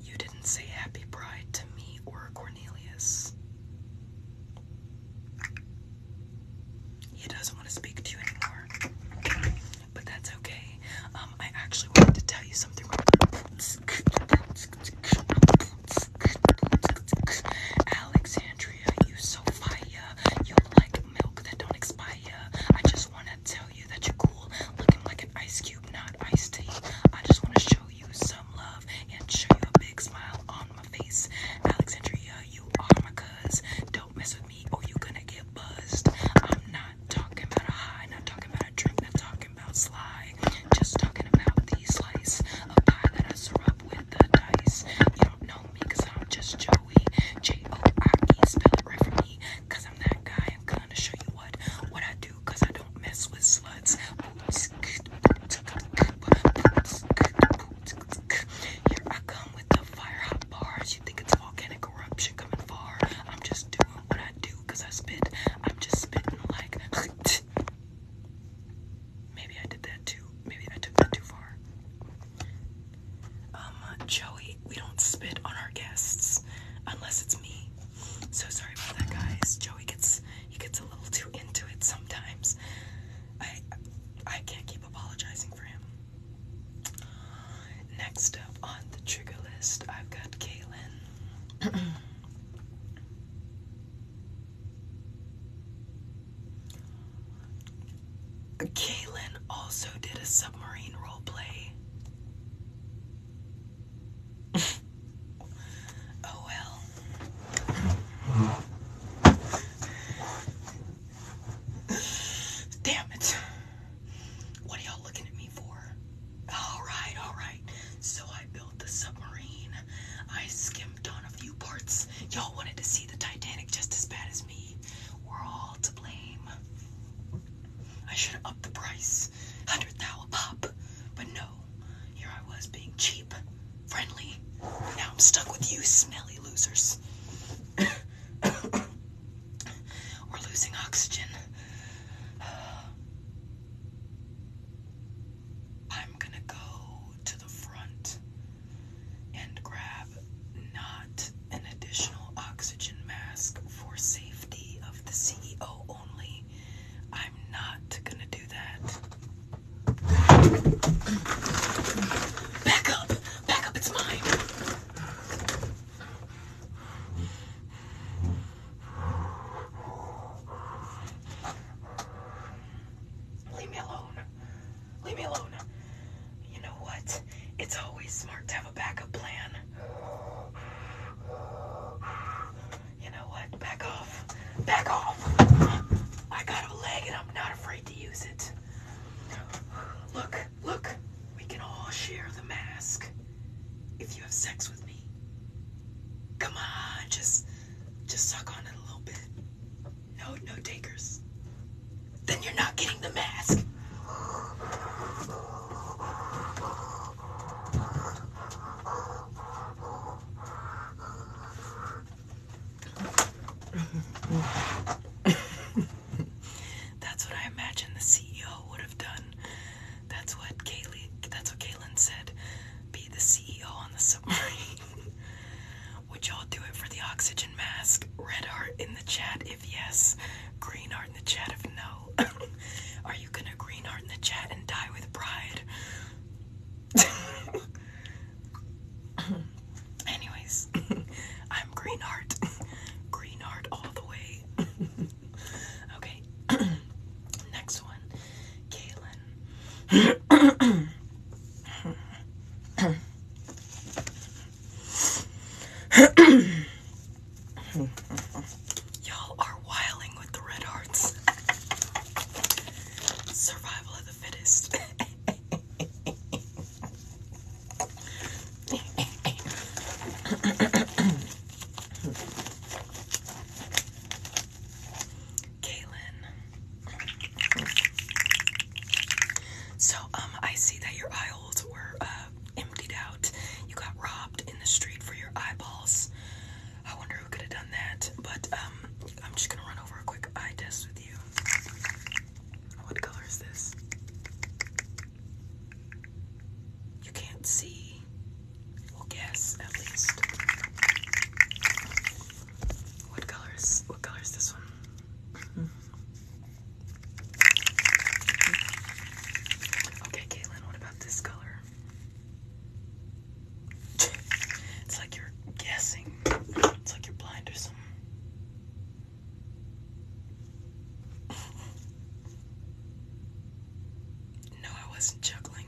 You didn't say happy bride to me or Cornelius. He doesn't want to speak to you anymore but that's okay. Um, I actually wanted to tell you something. Alexandria, you so fire. You like milk that don't expire. I just want to tell you that you're cool, looking like an ice cube, not iced tea. I just want to show you some love and show you a big smile on my face. Alexandria, you are my cuz. Don't mess with with you're gonna get buzzed. I'm not talking about a high, not talking about a drink, not talking about sly. Just talking about these slice a pie that I serve up with the dice. You don't know me cause I'm just Joey. J-O-I-E, spell it right for me. Cause I'm that guy. I'm gonna show you what what I do cause I don't mess with sluts. Here I come with the fire hot bars. You think it's volcanic eruption coming far? I'm just doing what I do I spit. I'm just spitting like. Maybe I did that too. Maybe I took that too far. Um, Joey, we don't spit on our guests unless it's me. So sorry about that, guys. Joey gets he gets a little too into it sometimes. I I can't keep apologizing for him. Next up on the trigger list, I've got Kaylin. Kaylin also did a submarine role play. oh well. Damn it. What are y'all looking at me for? All right, all right. So I built the submarine. I skimped on a few parts. Y'all wanted to see the Titanic just as bad as me. We're all to blame. I should have upped the price. Hundred thou a pop. But no, here I was being cheap, friendly. Now I'm stuck with you smelly losers. We're losing oxygen. I'm gonna go to the front and grab not an additional oxygen mask for safety of the CEO only. I'm not gonna do that. Back up! Back up, it's mine! Leave me alone. Leave me alone. You know what? It's always smart to have a backup plan. You know what? Back off. Back off. I got a leg and I'm not afraid to use it. Look, look. We can all share the mask. If you have sex with me. Come on, just just suck on it a little bit. No no takers. Then you're not getting the mask. That's what I imagine the CEO would have done that's what Kaylee. That's what Kaylin said. Be the CEO on the submarine. Would y'all do it for the oxygen mask? Red heart in the chat if yes. Green heart in the chat if no. Are you gonna green heart in the chat and die with pride? Anyways, I'm green heart. Green heart all the way. Okay, next one, Kaylin. Y'all are wiling with the red hearts. Survival of the fittest. Kaylin. So, um, I see that your eye were uh, emptied out. You got robbed in the street for your eyeballs. I wonder who could have done that. But um, I'm just gonna run over a quick eye test with you. What color is this? you can't see, well guess at least. What color is what color this one? Okay, Caitlin, what about this color? it's like you're guessing. It's like you're blind or something. No, I wasn't juggling.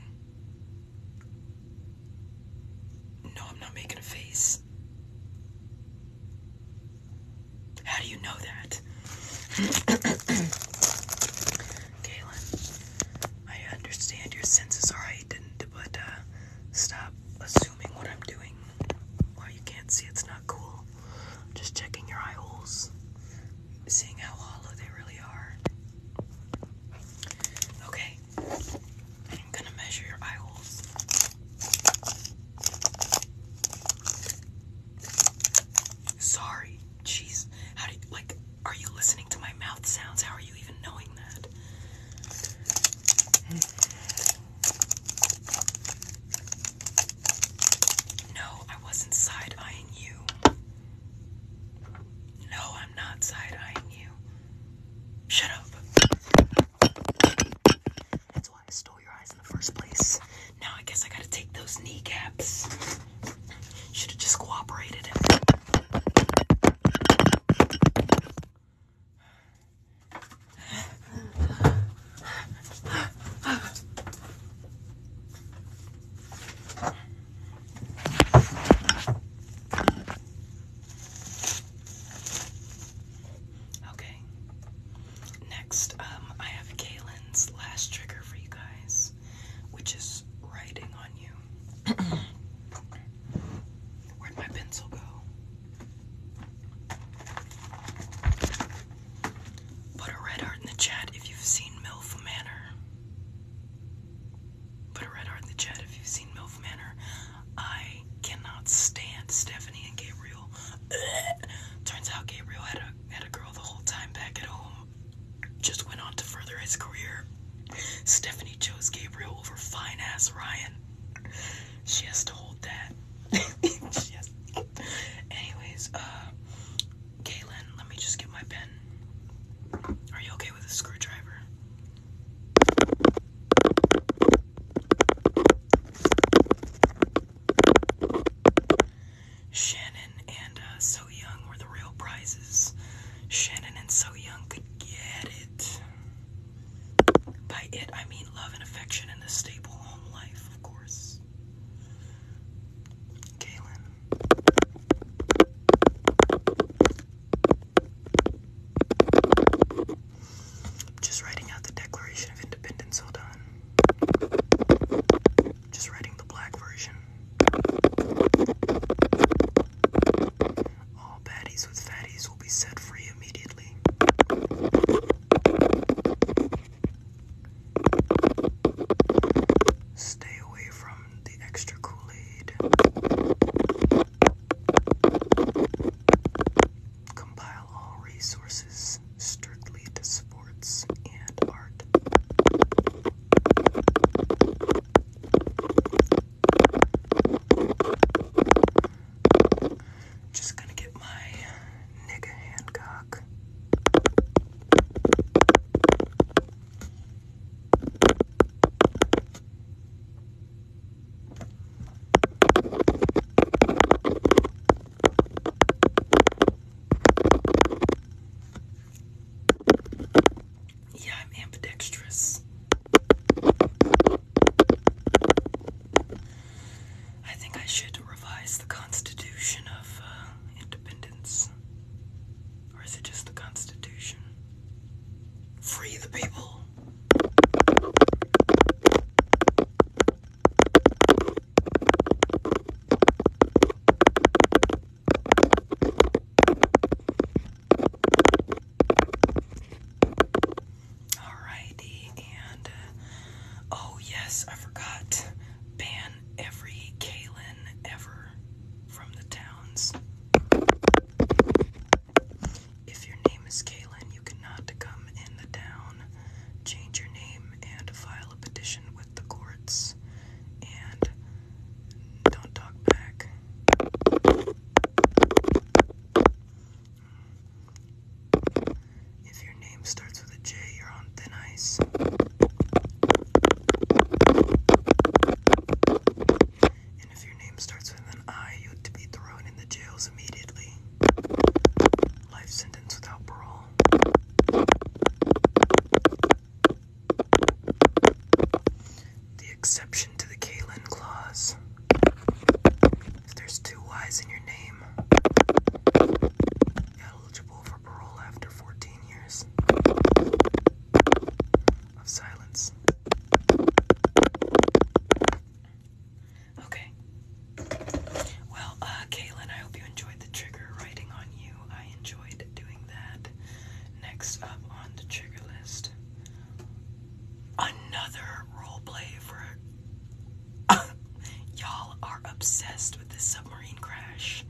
No, I'm not making a face. How do you know that? Galen, I understand your senses are heightened, but uh, stop assuming what I'm doing. Why you can't see it's not cool. Just checking your eye holes, seeing how hollow they really are. Okay, I'm gonna measure your eye holes. Sorry, jeez. How do like, are you listening to my mouth sounds? How are you even knowing that? No, I wasn't side eyeing you. No, I'm not side eyeing you. Shut up. That's why I stole your eyes in the first place. Now I guess I gotta take those knee caps. Should have just cooperated. Okay. Next, um, I have Kaylin's last trigger for you guys, which is writing on you. Where'd my pencil go? Put a red heart in the chat if you've seen MILF Manor. Put a red heart in the chat if you've seen MILF Manor. I cannot stand Stephanie and Gabriel. Turns out Gabriel had a had a girl the whole time back at home. Just went on to further his career. Stephanie chose Gabriel over fine ass Ryan. She has to hold that. she has... Anyways, uh, Kaylin, let me just get my pen. Are you okay with a screwdriver? Shannon and uh, So Young were the real prizes. Shannon and So Young could get it. By it, I mean love and affection and a stable home life, of course. Kaylin, just writing out the Declaration of Independence, hold on. Just writing the black version. All baddies with fatties will be set free immediately. Stay away from the extra Kool Aid. Compile all resources strictly to sports and art. Just gonna get my nigga hand yeah, I'm ambidextrous. I think I should revise the Constitution of uh, Independence. Or is it just the Constitution? Free the people! Alrighty, and uh, oh, yes, I forgot. Ban every Kalin ever from the towns. If your name is Kalin, you cannot come in the town. Change your name and file a petition with the courts. And don't talk back. If your name starts with a J, you're on thin ice. And if your name starts with an I, you would be thrown in the jails immediately. Life sentence without parole. The exception to the Kalin clause. If there's two Y's in your name, eligible for parole after 14 years of silence. Okay. Well, uh, Kaylin, I hope you enjoyed the trigger writing on you. I enjoyed doing that. Next up on the trigger list, another roleplay for. Y'all are obsessed with this submarine crash.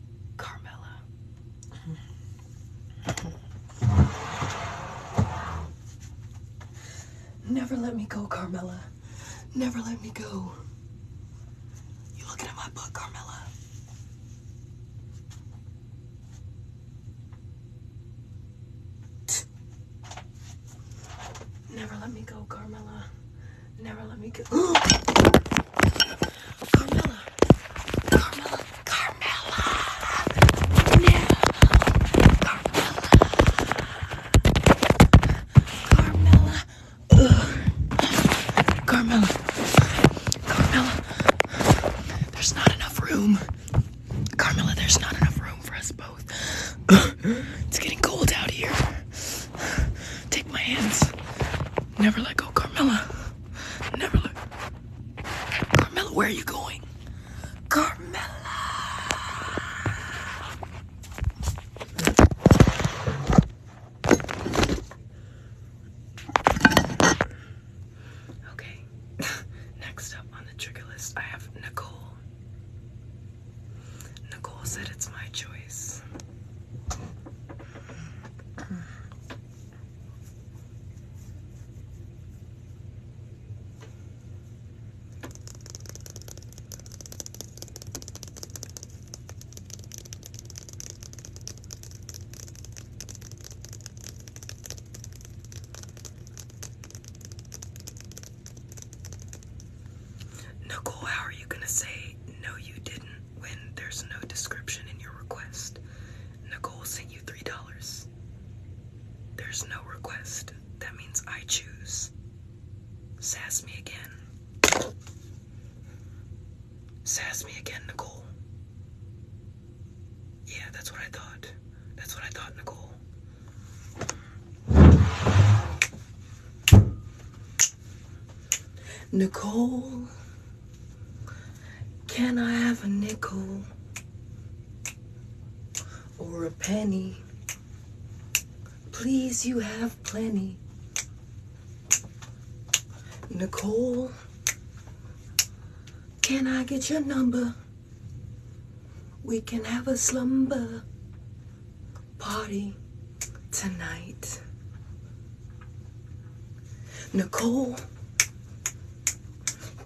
Carmela. Never let me go, Carmela. Never let me go. You looking at my butt, Carmela? Never let me go, Carmela. Never let me go. Carmela. Carmela. Carmela. No. Carmela. Carmela. Carmela. Carmela. There's not enough room. Carmela, there's not enough room for us both. it's getting cold out here. Take my hands. Never let go, Carmela. Never let. Carmela, where are you going? Carmela. Okay. Next up on the trigger list, I have Nicole. Nicole said it's my choice. Nicole, how are you going to say no you didn't when there's no description in your request? Nicole sent you $3. There's no request. That means I choose. Sass me again. Sass me again, Nicole. Yeah, that's what I thought. That's what I thought, Nicole. Nicole, can I have a nickel or a penny? Please, you have plenty. Nicole, can I get your number? We can have a slumber party tonight. Nicole,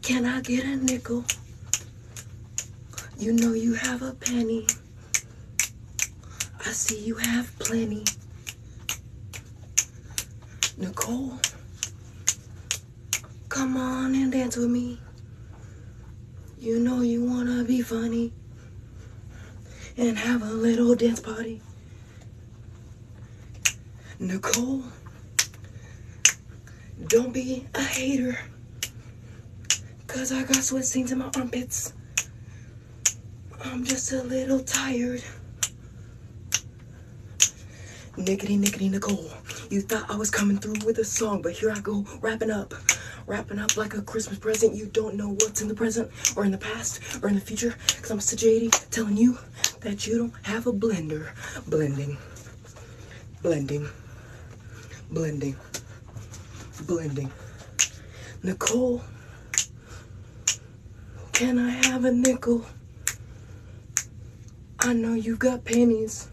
can I get a nickel? You know you have a penny. I see you have plenty. Nicole, come on and dance with me. You know you wanna be funny and have a little dance party. Nicole, don't be a hater. Cause I got sweat stains in my armpits. I'm just a little tired. Nickety, nickety, Nicole. You thought I was coming through with a song, but here I go wrapping up wrapping up like a Christmas present. You don't know what's in the present or in the past or in the future. Because I'm Mr. JD telling you that you don't have a blender. Blending. Blending. Blending. Blending. Nicole, can I have a nickel? I know you got pennies.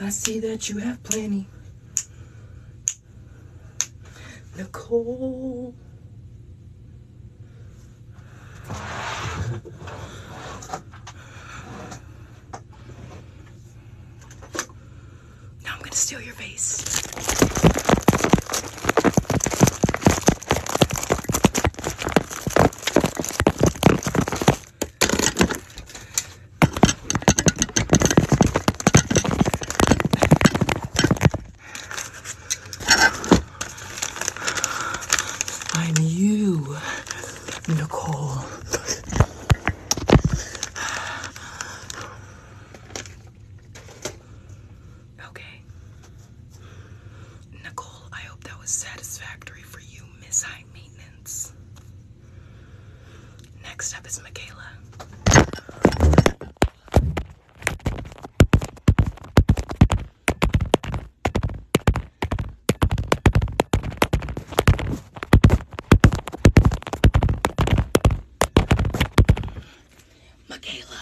I see that you have plenty. Nicole. Now I'm going to steal your face. I'm you, Nicole. Okay. Nicole, I hope that was satisfactory for you, Miss High Maintenance. Next up is Michaela. Michaela.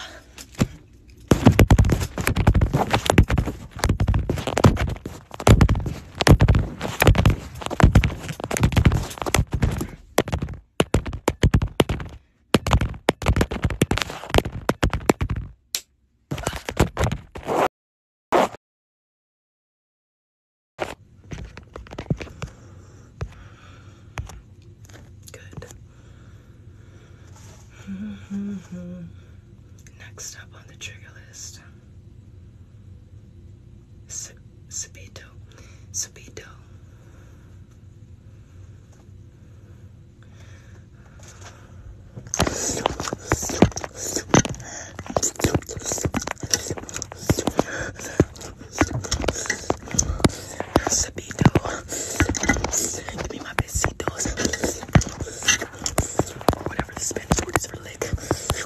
Good. Mm -hmm. Next up on the trigger list Subito. Subito. Sabito, give me my besitos, whatever the Spanish word is for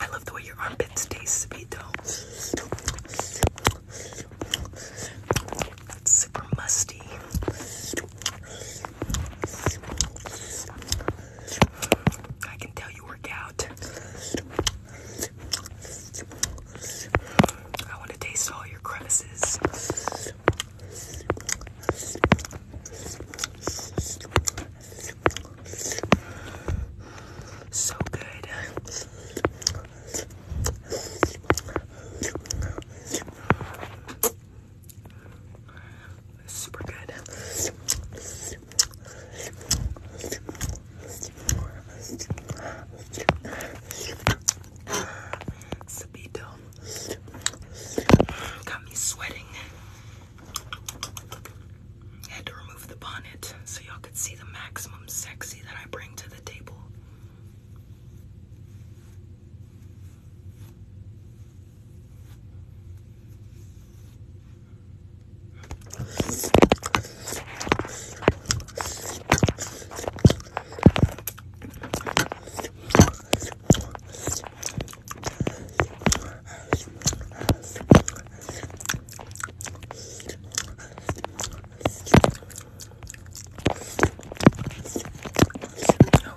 I love the way your armpits taste, Sabito. It's super musty. I can tell you work out. I want to taste all your crevices. So good. Super good. Sabito got me sweating had to remove the bonnet so y'all could see the maximum sexy that I bring to the table. Oh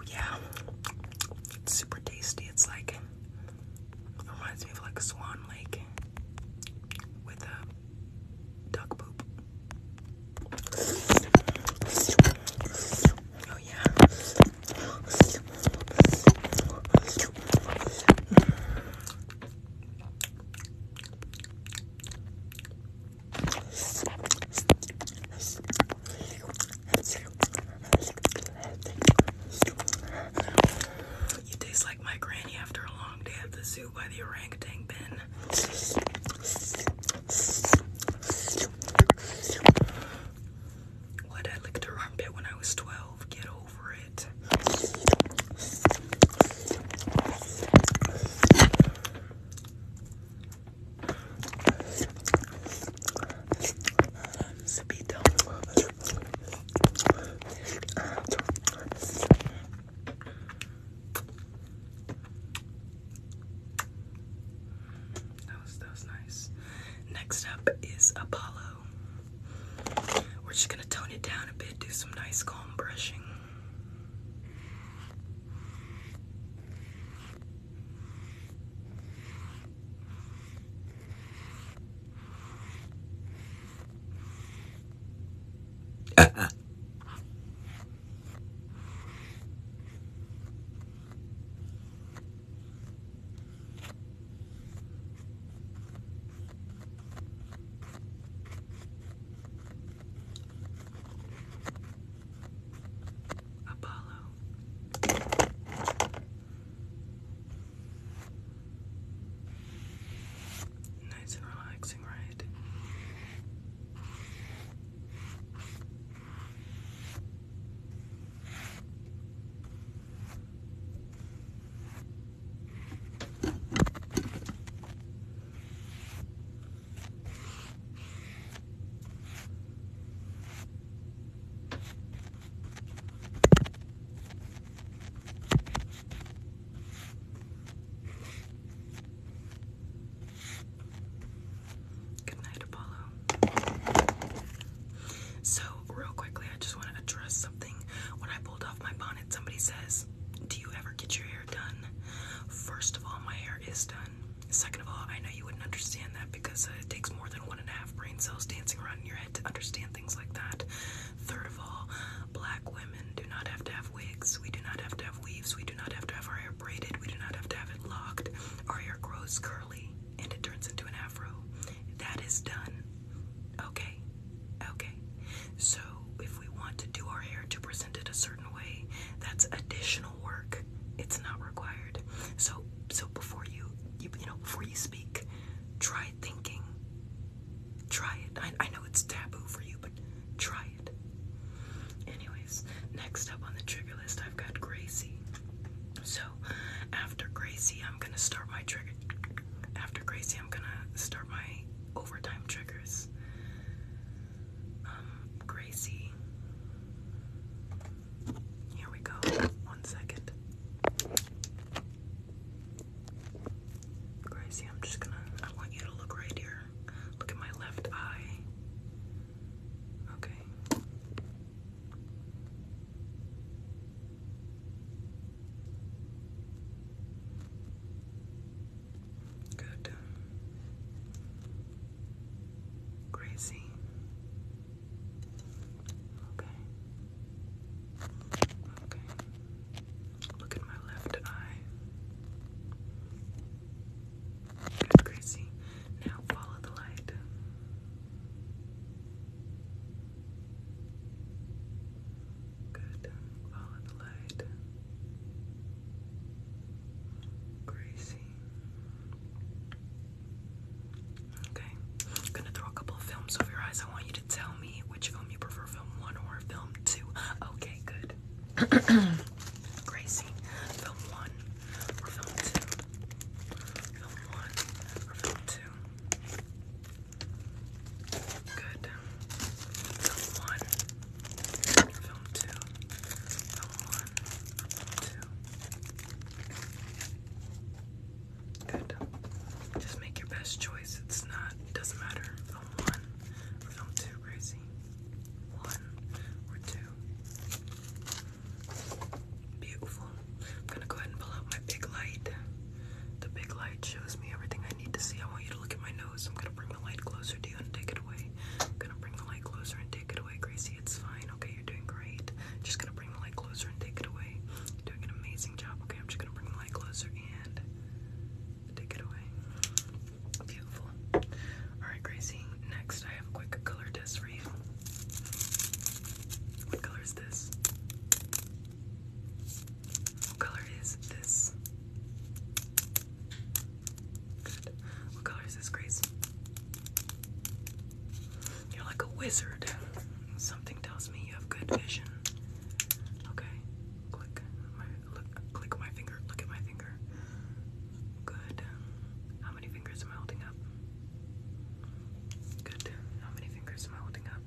yeah, it's super tasty. It's like reminds me of like Swan Lake with a duck poop. Oh yeah. You taste like my granny after a long day at the zoo by the orangutan bin. What I licked her armpit when I was 12. Get over it. that was nice. Next up is Apollo we're just gonna tone it down a bit, do some nice calm brushing. Apollo. Nice and relaxing, right? Good night, Apollo. So real quickly, I just want to address something. When I pulled off my bonnet, somebody says, Do you ever get your hair done? First of all, my hair is done. Second of all, I know you wouldn't understand that because it takes more than one and a half brain cells dancing around in your head to understand things like that. Third of all, black women do not have to have wigs. We do not have to have weaves. We do not have to have our hair braided. We do not have to have it locked. Our hair grows curly and it turns into an afro. That is done. Okay. Okay. So if we want to do our hair to present it a certain way, that's additional work. It's not required. So so before you you, you know before you speak, try thinking. Try it. I, I know it's taboo for you, but try it. Anyways, next up on the trigger list, I've got Gracie. So after Gracie, I'm gonna start my trigger after Gracie, I'm gonna start my overtime triggers. Um, Gracie. Here we go. One second. Gracie, I'm just gonna. I want you to look right here. Look at my left eye. Okay. Good. Crazy. Okay. Okay. Look at my left eye. Good, Gracie. Now follow the light. Good. Follow the light. Gracie. Okay. I'm gonna throw a couple of films over your eyes. I want you to tell me which film you prefer, film one or film two. Okay, good. Gracie, film one or film two? Film one or film two? Good. Film one. Film two. Film one. Two. Good. Just make your best choice. It's not doesn't matter. Film one film two, Gracie. One or two. Beautiful. I'm gonna go ahead and pull out my big light. The big light shows me everything I need to see. I want you to look at my nose. I'm gonna bring the light closer to you and take it away. I'm gonna bring the light closer and take it away, Gracie. It's fine. Okay, you're doing great. Just gonna bring the light closer and take it away. You're doing an amazing job. Okay, I'm just gonna bring the light closer and take it away. Beautiful. Alright, Gracie. Next, I have a quick color test for you. What color is this? What color is this? Good. What color is this, Grace? You're like a wizard. Something tells me you have good vision. Okay. Click look, click my finger. Look at my finger. Good. How many fingers am I holding up? Good. How many fingers am I holding up?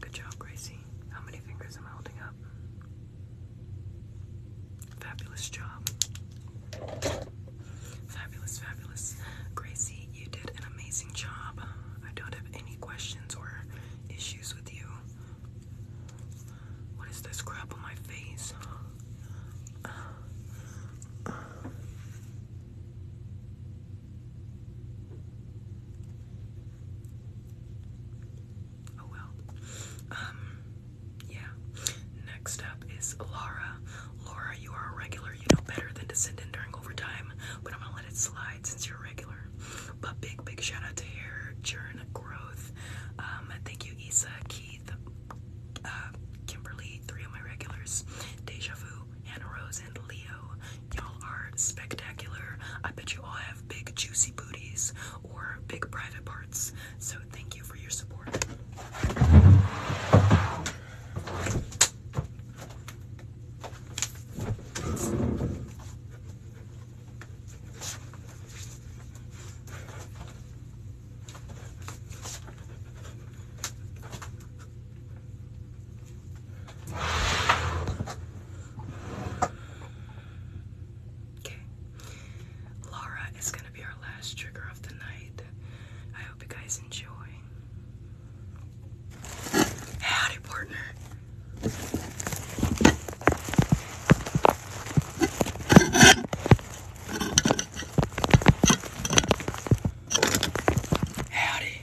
Good job, Gracie. How many fingers am I holding up? Fabulous job. Fabulous, fabulous. Gracie, you did an amazing job. I don't have any questions or issues with you. What is this crap on my face? Oh well. Um, yeah. Next up is Laura. Laura, you are a regular. You know better than to send in during overtime, but I'm gonna let it slide since you're a regular. But big, big shout out to Hair Churn Growth. Um, thank you, Isa, Keith, uh, Kimberly, three of my regulars, Deja Vu, Hannah Rose, and Leo. Y'all are spectacular. I bet you all have big, juicy booties or big private parts. So, thank you for your support. Okay. Laura is going to be our last trigger of the night. I hope you guys enjoy. Howdy, partner. Howdy.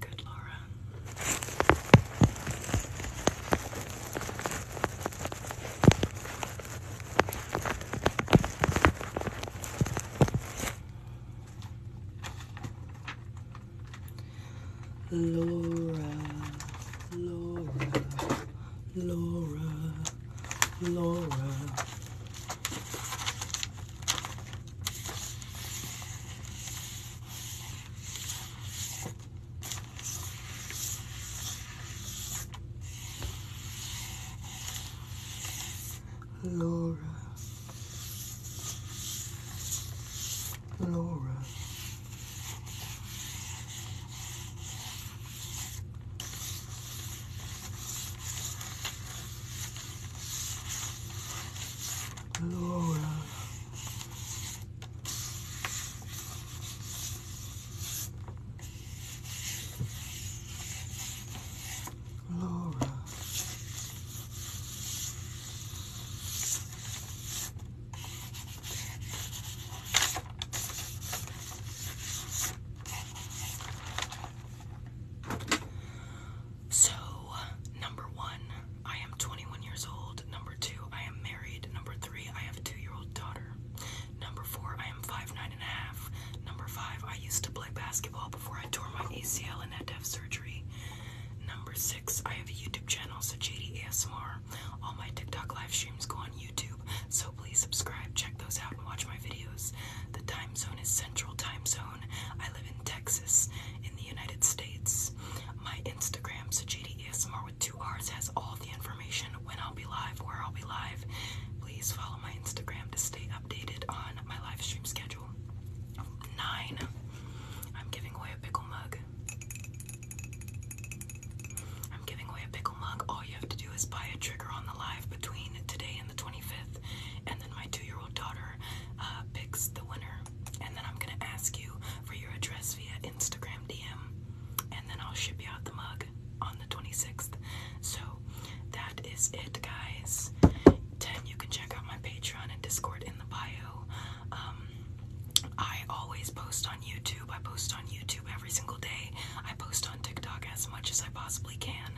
Good, Laura. Laura, Laura, Laura. Laura. Laura. Laura. Laura. Laura. So, number one, I am 21 years old. Number two, I am married. Number three, I have a two year old daughter. Number four, I am five nine and a half. Number five, I used to play basketball before I tore my ACL and had to have surgery. Number six, I have a YouTube channel, so JD ASMR. All my TikTok live streams go on YouTube, so please subscribe, check those out, and watch my videos. The time zone is Central Time Zone. I live in Texas, in the United States. My Instagram, so ASMR with two R's, has all the information when I'll be live, where I'll be live. Please follow my Instagram to stay updated on my live stream schedule. Nine. I'm giving away a pickle mug. I'm giving away a pickle mug, all you have to do is buy a trigger on the live between today and the 25th, and then my two year old daughter uh, picks the winner. And then I'm gonna ask you for your address via Instagram DM, and then I'll ship you out the mug on the 26th. So that is it, guys. 10. You can check out my Patreon and Discord in the bio. Um, I always post on YouTube. I post on YouTube every single day. I post on TikTok as much as I possibly can.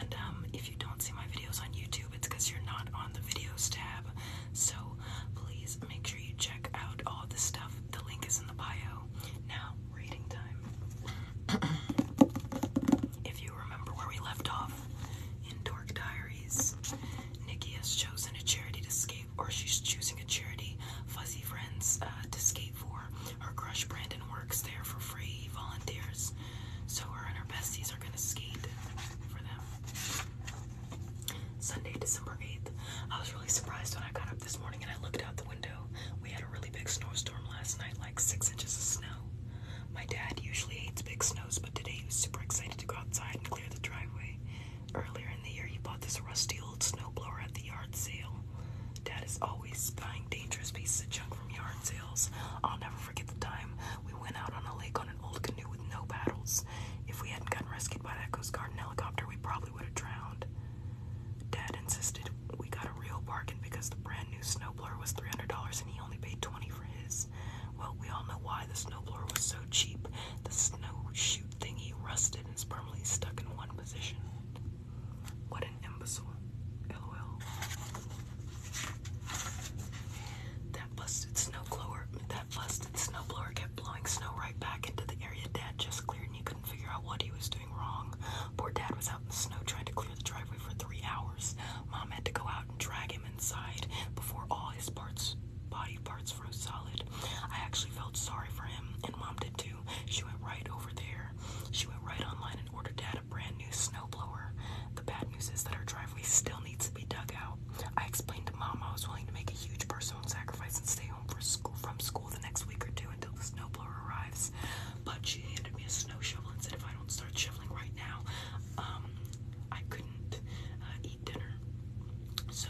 And um, if you don't see my videos on YouTube, it's because you're not on the videos tab. So please make sure you check out all the stuff. The link is in the bio. Now, reading time. if you remember where we left off in Dork Diaries, Nikki has chosen a charity to escape, or she's choosing a charity, Fuzzy Friends, uh, to escape for. crush Brandon works there for free, volunteers. So her and her besties are gonna skate for them. Sunday, December 8th. I was really surprised when I got up this morning and I looked out the window. We had a really big snowstorm last night, like six inches of snow. My dad usually hates big snows, but today he was super excited to go outside and clear the driveway. Earlier in the year, he bought this rusty old snowblower at the yard sale. Dad is always buying dangerous pieces of junk from yard sales. I'll never forget the time we went out on a lake on an old canoe with no paddles. If we hadn't gotten rescued by that Coast Guard helicopter, we probably would have drowned. Dad insisted we got a real bargain because the brand new snowblower was $300 and he only paid 20 for his. Well, we all know why the snowblower was so cheap. The snow chute thingy rusted and is permanently stuck in one position. What an imbecile. LOL. That busted snowblower that busted snowblower kept blowing snow right back into the area Dad just cleared and he couldn't figure out what he was doing wrong. Poor Dad was out in the snow trying to clear the driveway for three hours. Mom had to go out and drag him inside before all his parts body parts froze solid. I actually felt sorry for him and Mom did too. She went right over there. She went right online and ordered Dad a brand new snowblower. The bad news is that our driveway still needs to be dug out. I explained to Mom I was willing to make a huge personal sacrifice and stay home for school, from school the next week or two until the snowblower arrives. But she handed me a snow shovel and said if I don't start shoveling right now, um, I couldn't uh, eat dinner. So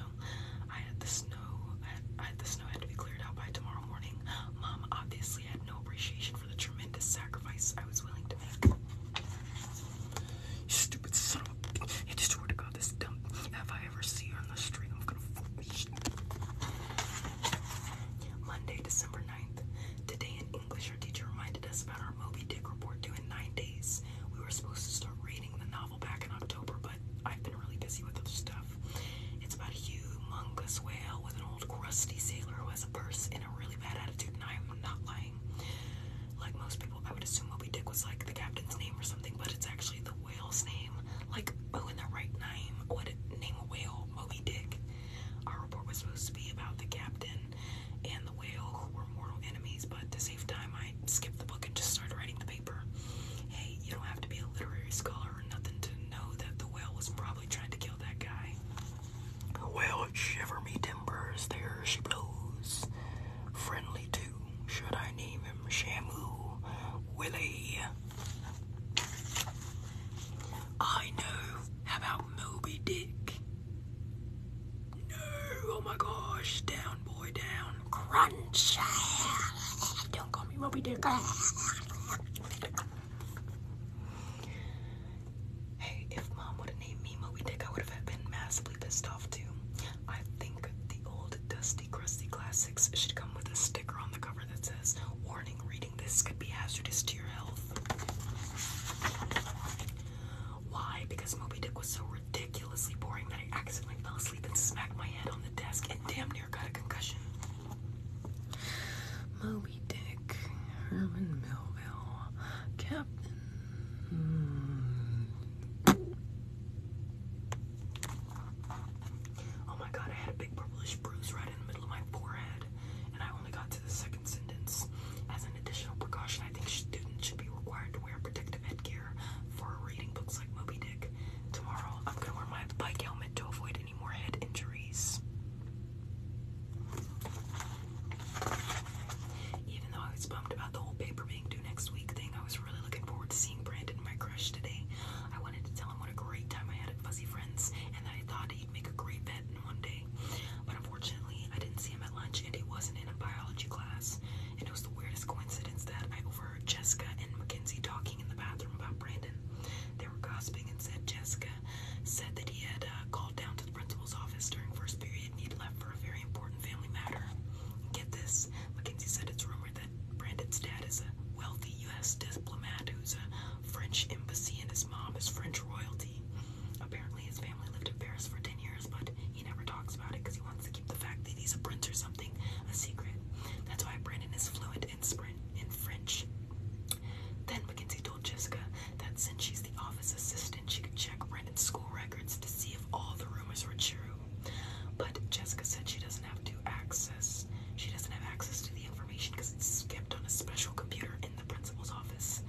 I had the snow, I had, I had the snow had to be cleared out by tomorrow morning. Mom obviously had no appreciation for the tremendous sacrifice I was willing to make. stupid son I just swear to God, this dumb. If I ever see her on the street, I'm gonna fool me. Monday, December 9th. Today in English, our teacher reminded us about our Moby Dick report due in nine days. We were supposed to start reading the novel back in October, but I've been really busy with other stuff. It's about a humongous whale with an crusty sailor who has a purse and a really bad attitude, and I am not lying. Like most people, I would assume Moby Dick was like the captain's name or something, but it's actually the whale's name. Like, who oh, in the right name would name a whale Moby Dick? Our report was supposed to be about the captain and the whale who were mortal enemies, but to save time, I skipped the book and just started writing the paper. Hey, you don't have to be a literary scholar or nothing to know that the whale was probably trying to kill that guy. Well, shiver me timbers, there she blows. Friendly too, should I name him Shamu Willie? I know. How about Moby Dick? No, oh my gosh, down, boy, down. Crunch. Don't call me Moby Dick. Hey, if mom would have named me Moby Dick, I would have been massively pissed off too. I think the old dusty, crusty classics should come with a sticker on the cover that says, Warning, reading this could be hazardous to your health. Why? Because Moby Dick was so ridiculously boring that I accidentally fell asleep and smacked my head on the desk and damn got a concussion. Moby Dick, Herman Melville, Captain. Oh my god, I had a big purplish bruise right in the middle of my forehead, and I only got to the second sentence. As an additional precaution, I think students should be required to wear protective headgear for reading books like Moby Dick. Tomorrow, I'm gonna wear my bike helmet to avoid any more head injuries. Even though I was bummed about the whole paper being due next week thing, I was really looking forward to seeing Brandon, my crush, today. I wanted to tell him what a great time I had at Fuzzy Friends and that I thought he'd make a great vet in one day. But unfortunately, I didn't see him at lunch and he wasn't in a biology class. And it was the weirdest coincidence that I overheard Jessica and Mackenzie talking in the bathroom about Brandon. They were gossiping and said Jessica America, said that he had uh, called down to the principal's office during first period and he'd left for a very important family matter. Get this, Mackenzie said it's rumored that Brandon's dad is a wealthy U.S. diplomat who's a French embassy and his mom is French royalty. Apparently his family lived in Paris for 10 years, but he never talks about it because he wants to keep the fact that he's a prince or something a secret. That's why Brandon is fluent in, French. Then Mackenzie told Jessica that since she's the office assistant, she could check Brennan's school records to see if all the rumors were true. But Jessica said she doesn't have access she doesn't have access to the information because it's kept on a special computer in the principal's office.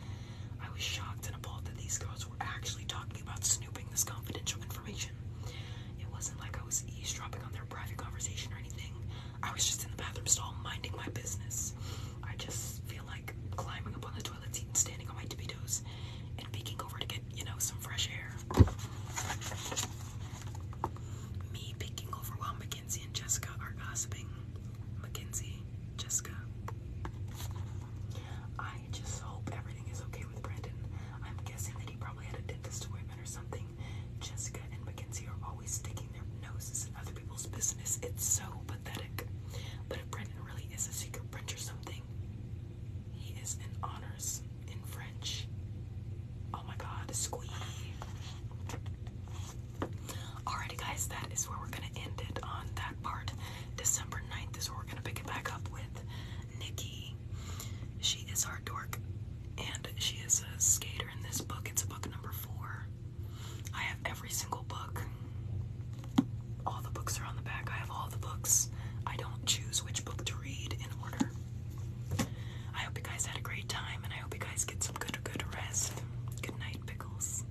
I was shocked and appalled that these girls were actually talking about snooping this confidential information. It wasn't like I was eavesdropping on their private conversation or anything. I was just in the bathroom stall minding my business. I just feel like climbing up on the toilet seat and standing on my tippy toes and peeking over to get, you know, some fresh air. Me peeking over while Mackenzie and Jessica are gossiping. Mackenzie, Jessica. I just hope everything is okay with Brandon. I'm guessing that he probably had a dentist appointment or something. Jessica and Mackenzie are always sticking noses in other people's business. It's so pathetic. But if Brandon really is a secret prince or something, he is in honors in French. Oh my god, squee. Alrighty guys, that is where we're gonna end it on that part. December 9th is where we're gonna pick it back up with Nikki. She is our dork and she is a skater in this book. It's book number four. I have every single book. All the books are on the back. I have all the books. I don't choose which book to read in order. I hope you guys had a great time and I hope you guys get some good good rest. Good night, pickles.